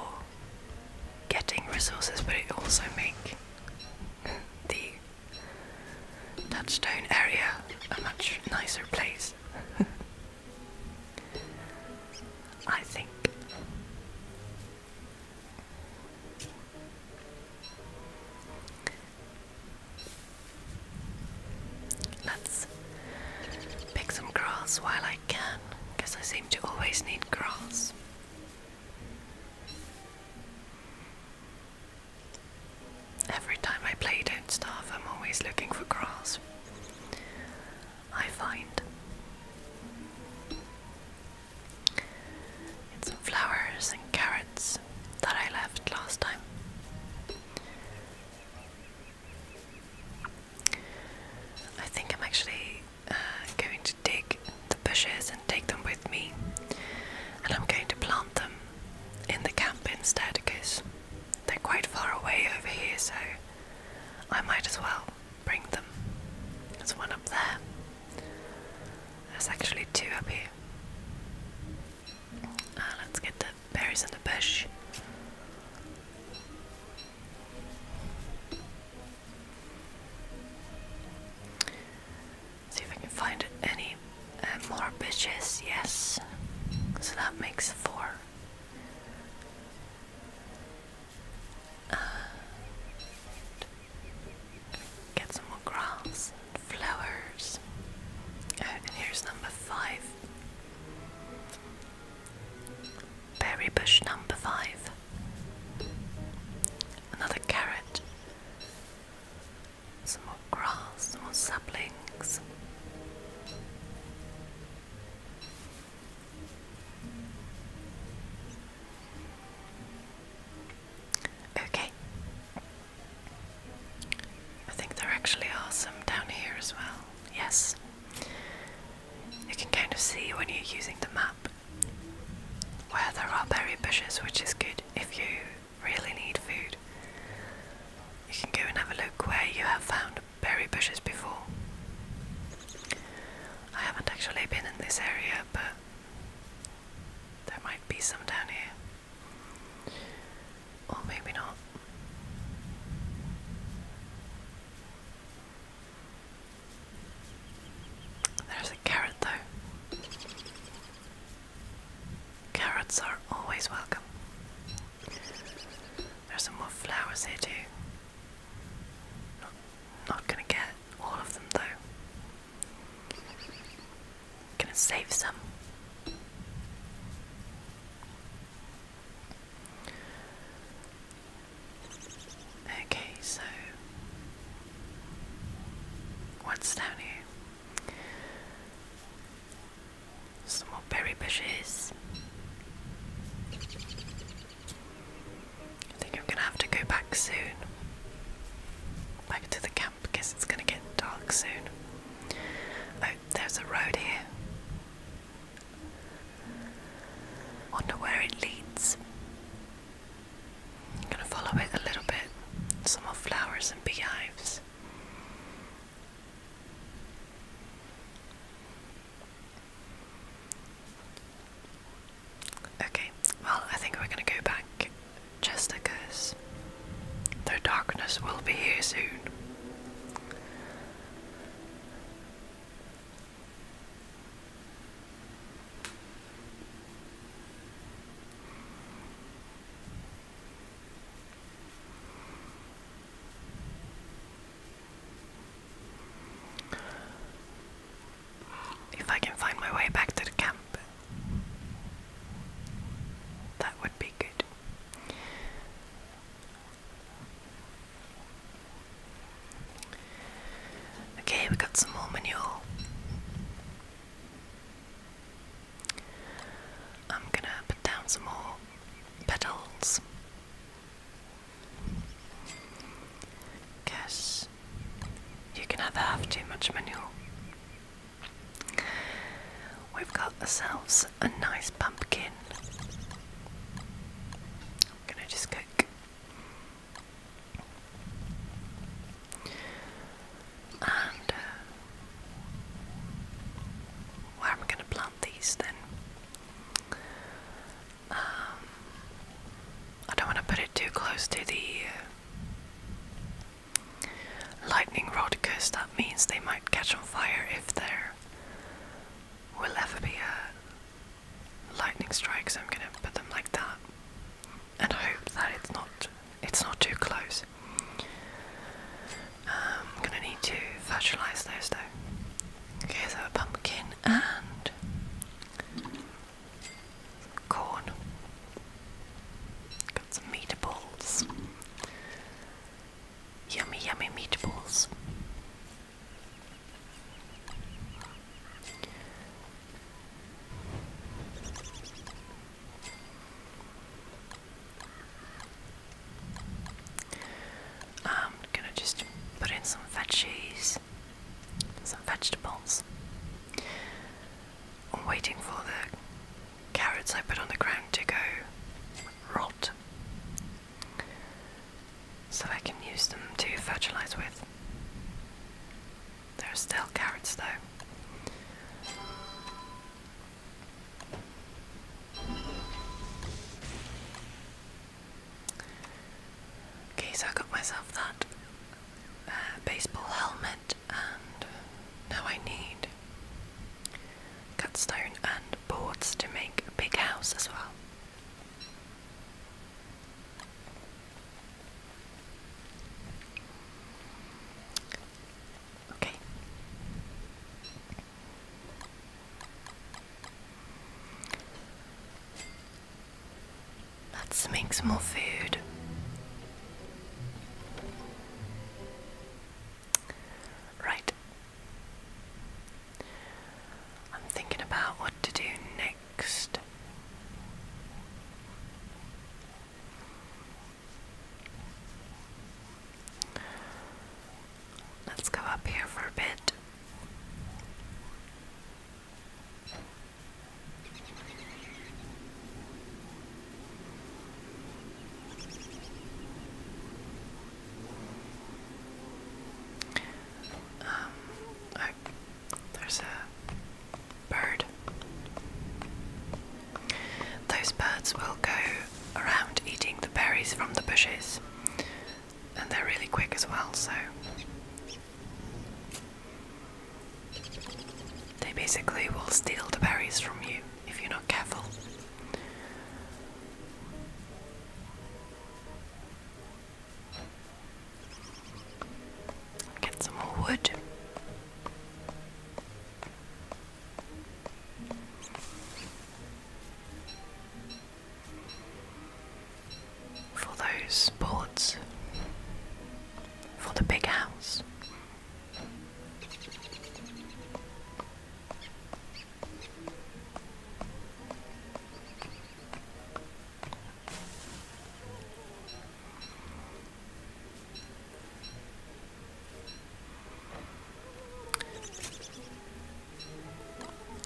getting resources, but it also makes the touchstone area a much nicer place. I think. Let's pick some grass while I can, I seem to always need grass. Every time I play Don't I'm always looking for grass. I find. It's flowers and carrots that I left last time. I think I'm actually uh, going to dig the bushes and take them with me, and I'm going to plant them in the camp instead because they're quite far away over here, so I might as well bring them. There's one up there. There's actually two up here. Ah, let's get the berries in the bush. See if I can find any uh, more bushes. Yes. So that makes four. And get some more grass and flowers. Oh, and here's number five. Berry bush number five. Another carrot. Some more grass, some more saplings. Okay. I think there actually are some down here as well. Yes. You can kind of see when you're using the map where there are berry bushes, which is good if you really need food. You can go and have a look where you have found around berry bushes before. I haven't actually been in this area, but there might be some down here. Or maybe not. There's a carrot though. Carrots are always welcome. There's some more flowers here too. Not, not gonna get all of them though. Gonna save some. Okay, so what's down here? Some more berry bushes. I think I'm gonna have to go back soon. Back to the camp it's gonna get dark soon. Oh, there's a road here. Wonder where it leads. I'm gonna follow it a little bit. Some more flowers and beehives. Okay, well, I think we're gonna go back just because the darkness will be here soon. If I can find my way back to the camp, that would be good. Okay, we got some more manure. I'm gonna put down some more petals Guess you can either have too much manure. We've got ourselves a nice pumpkin. I'm gonna just cook. And uh, where am I going to plant these then? Um, I don't want to put it too close to the uh, lightning rod because that means they might catch on fire if there will ever be a lightning strike. So I'm gonna put them like that, and hope that it's not it's not too close. Um, gonna need to fertilize those though. Okay, so pumpkin and corn. Got some meatables. Yummy, yummy meatables. I'm um, gonna just put in some veggies, some vegetables. I'm waiting for the carrots I put on the ground to go rot so I can use them to fertilize with. There are still carrots though. Okay, so I got myself that uh, baseball helmet, and now I need cut stone and boards to make a big house as well. Okay. Let's make some more food. Right. I'm thinking about what to do next. Let's go up here for a bit. Um, oh, there's a bird. Those birds will go around eating the berries from the bushes and they're really quick as well, so they basically will steal the berries from you if you're not careful. Get some more wood for those boards, for the big house.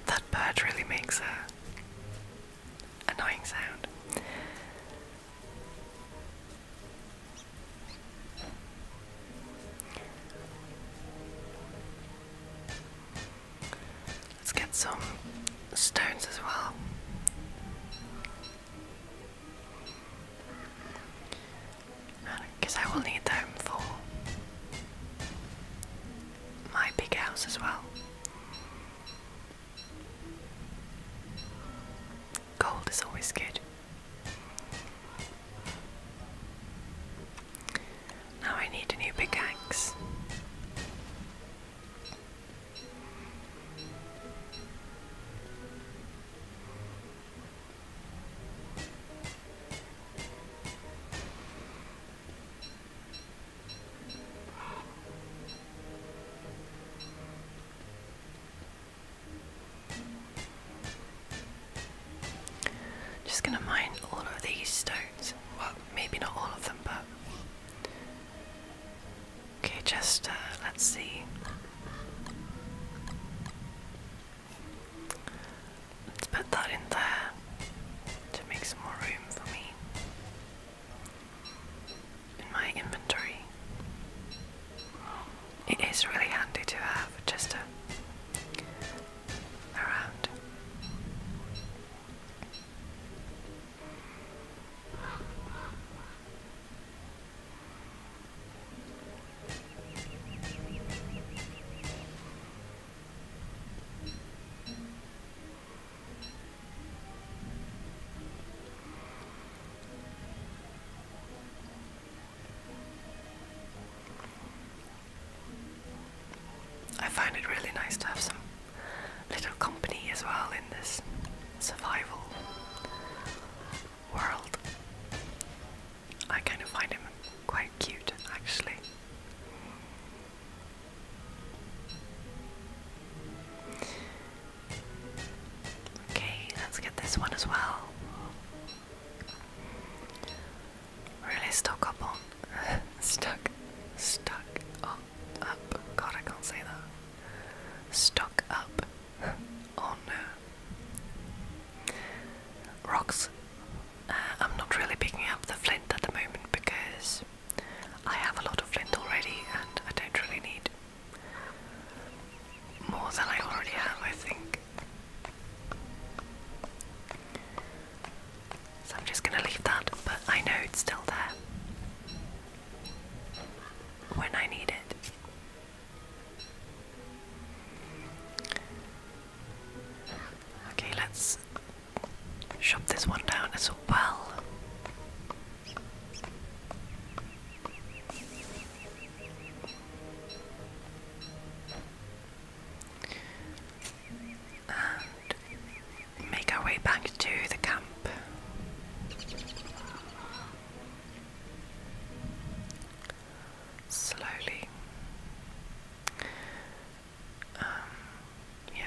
That bird really makes a annoying sound. Let's get some stones as well. Because I will need them for my big house as well. Gold is always good. Now I need a new pickaxe. Just gonna mine all of these stones. Well, maybe not all of them, but. Okay, just uh, let's see. Let's put that in there to make some more room for me in my inventory. It is really handy to have just a, around. I find it really nice to have some little company as well in this survival world. I kind of find him quite cute actually. Okay, let's get this one as well. Really stuck up on. stuck. Stuck on. Up. God, I can't say that. Stuck up on uh, rocks. Uh, I'm not really picking up the flint at the moment because I have a lot of flint already and I don't really need more than I already have, I think. So I'm just going to leave that, but I know it's still there when I need it. Okay, let's shove this one down as well. And make our way back to the camp. Slowly. Um, yeah,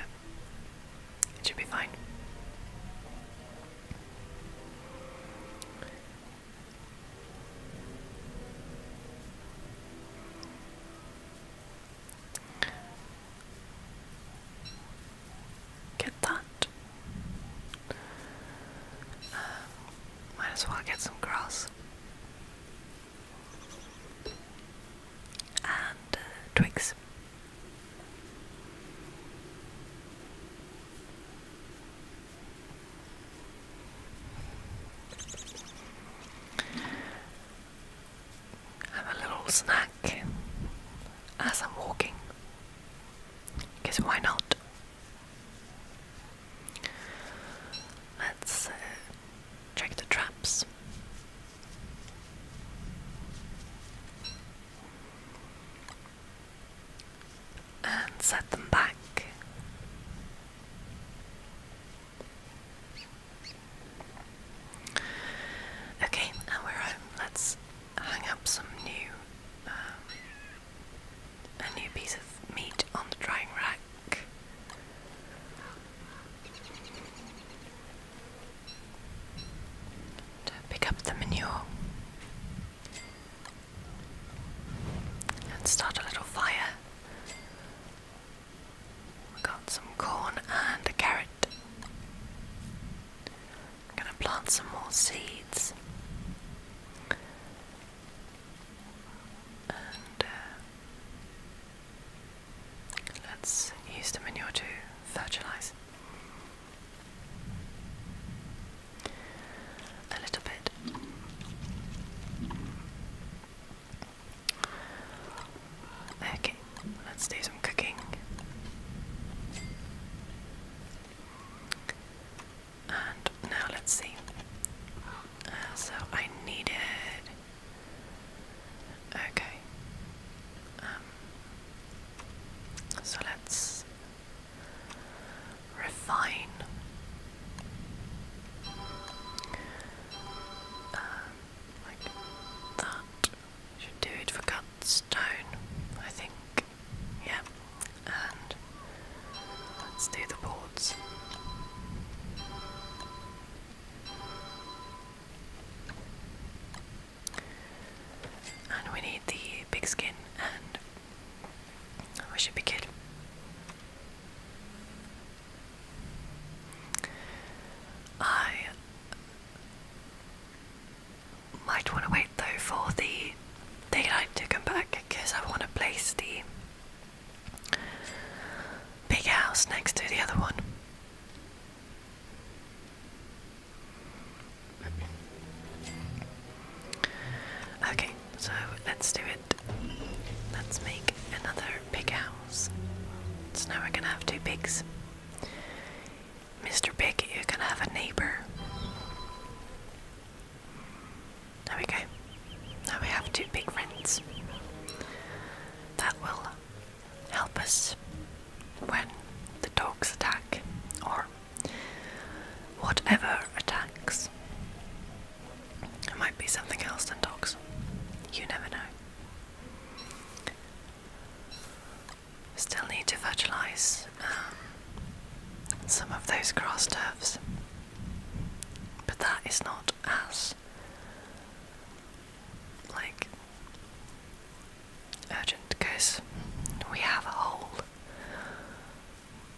it should be fine. Get that. Um, might as well get some grass and uh, twigs. Have a little snack as I'm walking, Guess why not? Let's uh, Check the traps. And set them back. Okay, now we're home. Let's hang up some new, um, a new piece of meat on the drying rack to pick up the manure and start a little fire. We got some corn and a carrot. going to plant some more seeds. Uh, Let's use the manure to fertilize. A little bit. Okay, let's do some cooking. And now let's see. Uh, so I needed Okay. Um, so let's refine. Uh, like that. Should do it for cut stone, I think. Yeah. And let's do the boards. And we need the big skin and we should be good. I might want to wait though for the daylight to come back because I want to place the big house next to the other one. Okay, so let's do it. Let's make another pig house. So now we're gonna have two pigs. Mr. Pig, you're gonna have a neighbor. There we go. Now we have two pig friends. That will help us when the dogs attack or whatever attacks. It might be something else than dogs. You never know. Still need to fertilise um, some of those grass turfs, but that is not as like urgent because we have a whole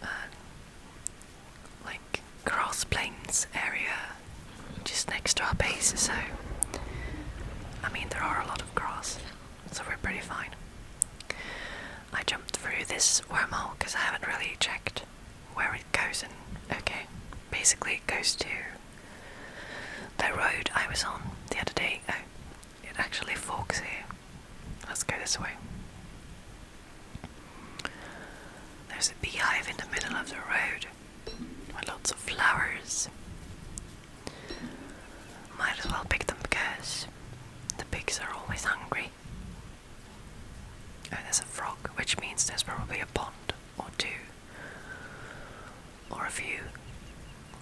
um, like grass plains area just next to our base, so I mean, there are a lot of grass, so we're pretty fine. I jumped through this wormhole because I haven't really checked where it goes, and okay, basically, it goes to the road I was on the other day, oh, it actually forks here. Let's go this way. There's a beehive in the middle of the road with lots of flowers. Might as well pick them because the pigs are always hungry. Oh, there's a frog, which means there's probably a pond or two or a few,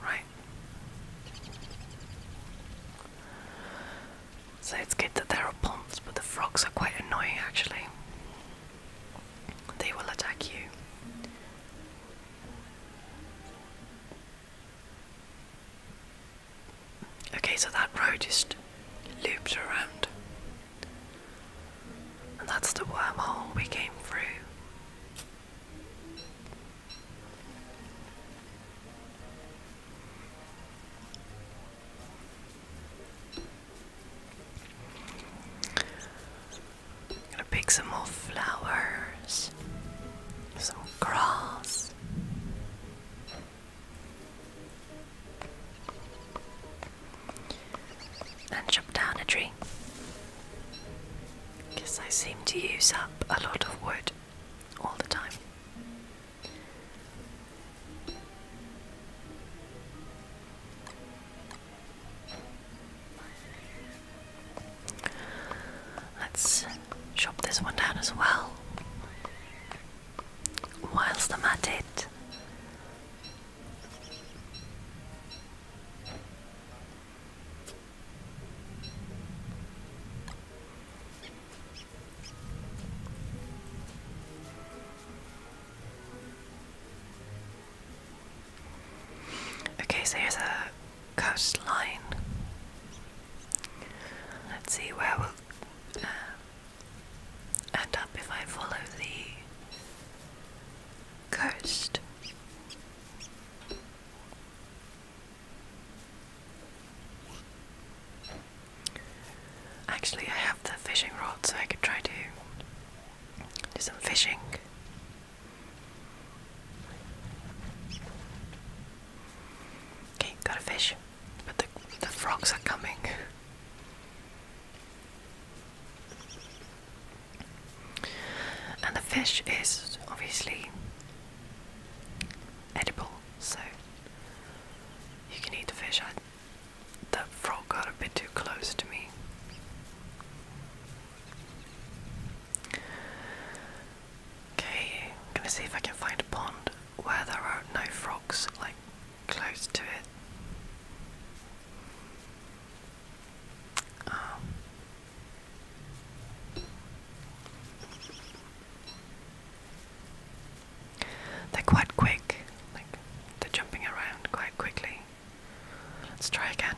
right? So it's good that there are ponds, but the frogs are quite annoying actually. They will attack you. Okay, so that road just loops around. And that's the wormhole we came through. I'm gonna pick some more flowers, some grass and chop down a tree. Because I seem to use up a lot of wood all the time. Let's chop this one down as well. Whilst I'm at it, Okay, so here's a coastline. Let's see where we'll uh, end up if I follow the coast. Actually, I have the fishing rod, so I could try to do some fishing. Okay, got a fish, but the, the frogs are coming. And the fish is obviously edible, so you can eat the fish. I, frog got a bit too close to me. Okay, I'm gonna see if I can find a pond where there are no frogs like close to it. Um, they're quite quick, they're jumping around quite quickly. Let's try again.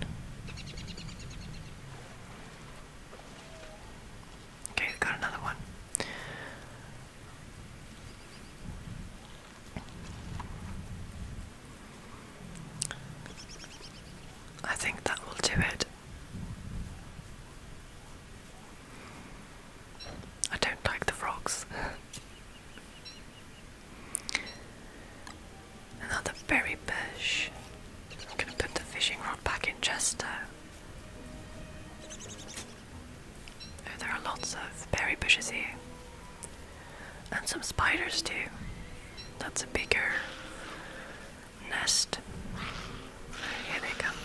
Okay, got another one. I think that will do it. I don't like the frogs. Another berry bush. I'm gonna put the fishing rod back in Chester. Oh, there are lots of berry bushes here. And some spiders too. That's a bigger nest. Here they come.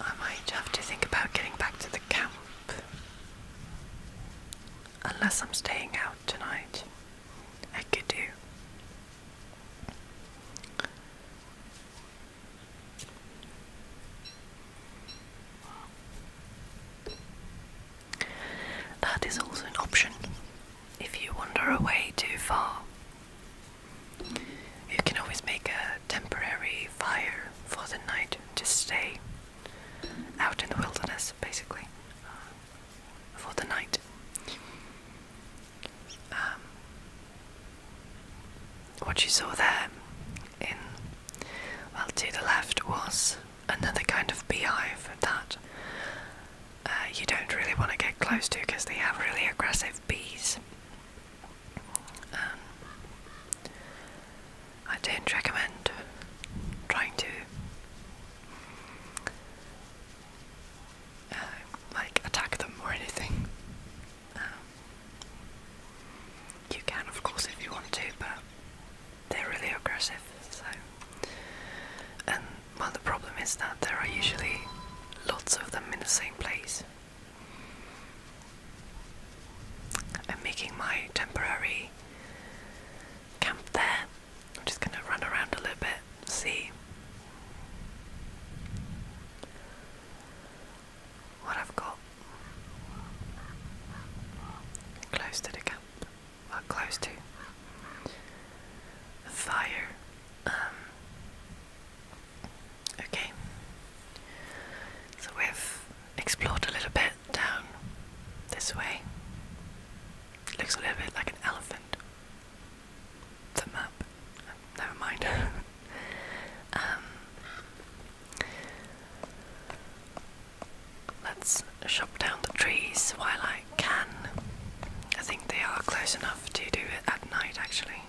I might have to think about getting back to the camp. Unless I'm staying out tonight. I could do. That is also an option. If you wander away too far, you can always make a temporary fire for the night to stay out in the wilderness, basically, uh, for the night. Um, what you saw there in. Well, to the left was another kind of beehive that uh, you don't really want to get close to because they have really aggressive bees. Um, I don't recommend trying to uh, like attack them or anything. Um, you can, of course, if you want to, but they're really aggressive. So, and well, the problem is that there are usually lots of them in the same place. I'm making my temporary camp there. I'm just gonna run around a little bit, see what I've got close to the camp well, close to fire. Um, okay, so we've explored a little bit down this way. looks a little bit like an elephant. It's map. Never mind. Um, Let's chop down the trees while I can. I think they are close enough to do it at night, actually.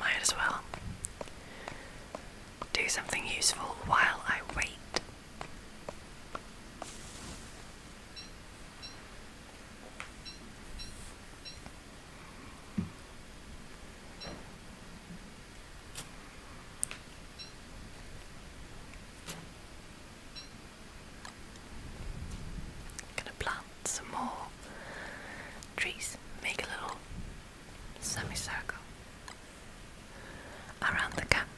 Might as well do something useful while I wait. Gonna plant some more trees, make a little semicircle around the camp.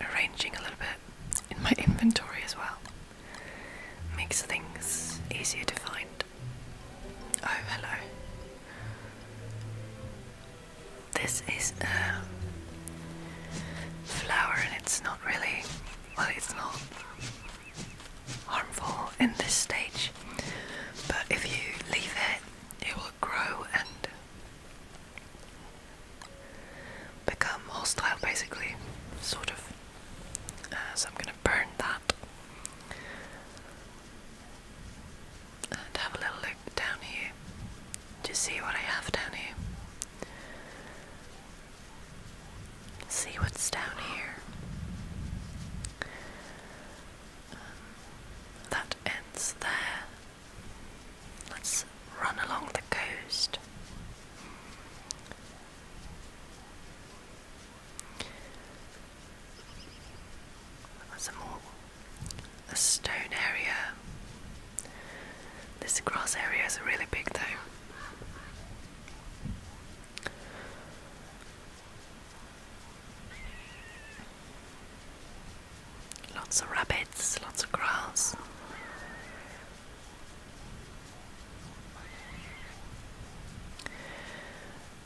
Arranging a little bit in my inventory as well makes things easier to find. Oh, hello. This is a flower, and it's not really well, it's not harmful in this stage, but if you leave it, it will grow and become hostile basically, sort of. Uh, so I'm going to burn that and have a little look down here. Just see what I have down here. See what's down here. Um, that ends there. Let's run along the coast. That's a more a stone area. This grass area is really big though. Lots of rabbits, lots of grass.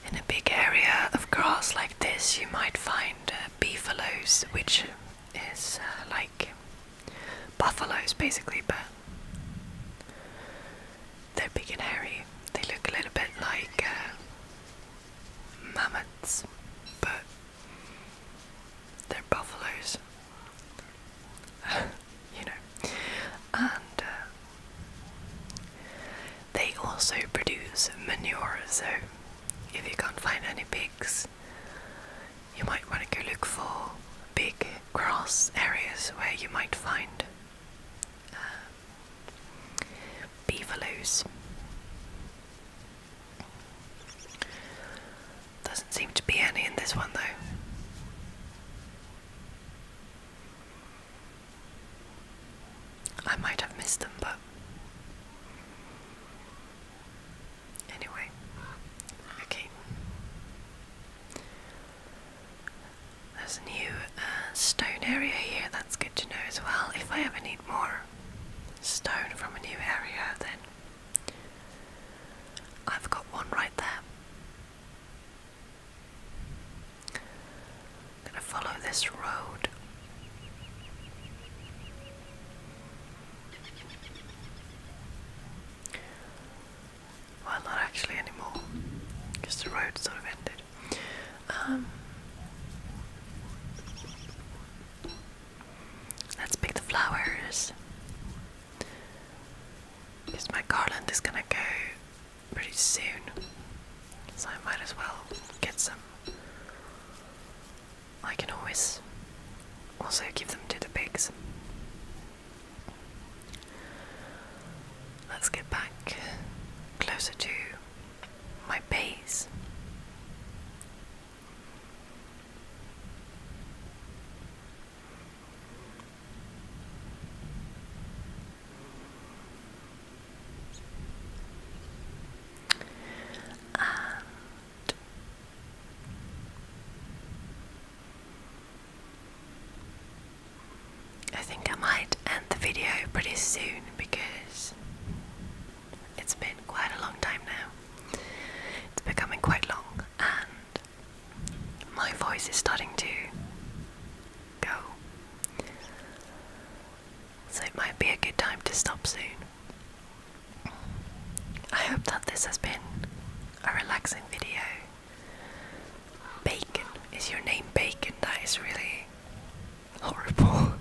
In a big area of grass like this, you might find uh, which is uh, like buffaloes basically, but they're big and hairy. They look a little bit like uh, mammoths, but they're buffaloes. you know. And uh, they also produce manure, so if you can't find any pigs, you might want to go look for big grass areas where you might find uh, Beaverloos. Doesn't seem to be any in this one though. I might have missed them, but anyway, okay. There's a new uh, stone area here, that's good to know as well. If I ever need more stone from a new area, then I've got one right there. gonna follow this road. Well, not actually anymore, because the road sort of ended. Um, let's pick the flowers. Because my garland is gonna go pretty soon, so I might as well get some. I can always also give them to the pigs. Let's get back closer to my base. And I think I might end the video pretty soon because it's been quite a long time now. It's becoming quite long and my voice is starting to go. So it might be a good time to stop soon. I hope that this has been a relaxing video. Bacon. Is your name Bacon? That is really horrible.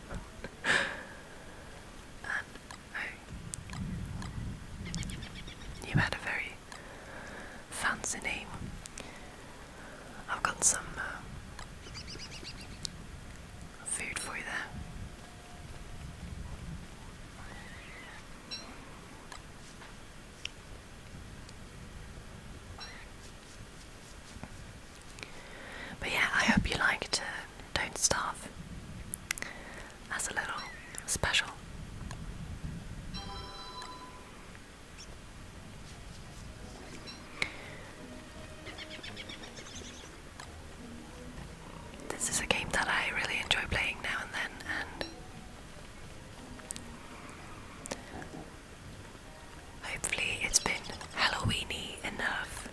Oh. you had a very fancy name. I've got some uh, food for you there. But yeah, I hope you liked uh, Don't Starve as a little special. This is a game that I really enjoy playing now and then, and Hopefully, it's been Halloweeny enough.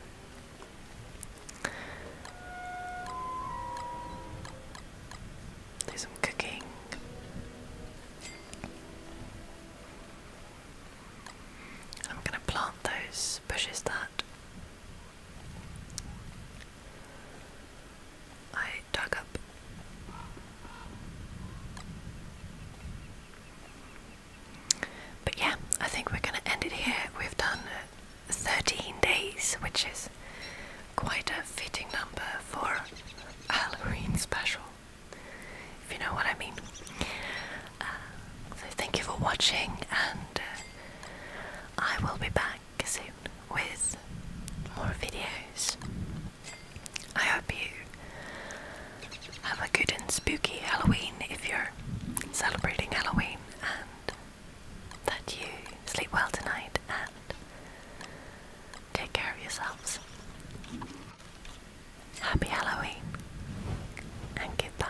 Do some cooking. I'm going to plant those bushes that I dug up. But yeah, I think we're going to end it here. We've done 13 days, which is quite a fitting number for a Halloween special, if you know what I mean. Uh, so thank you for watching, and uh, I will be back soon with more videos. I hope you have a good and spooky Halloween if you're celebrating Halloween and that you sleep well tonight and take care of yourselves. Happy Halloween and goodbye.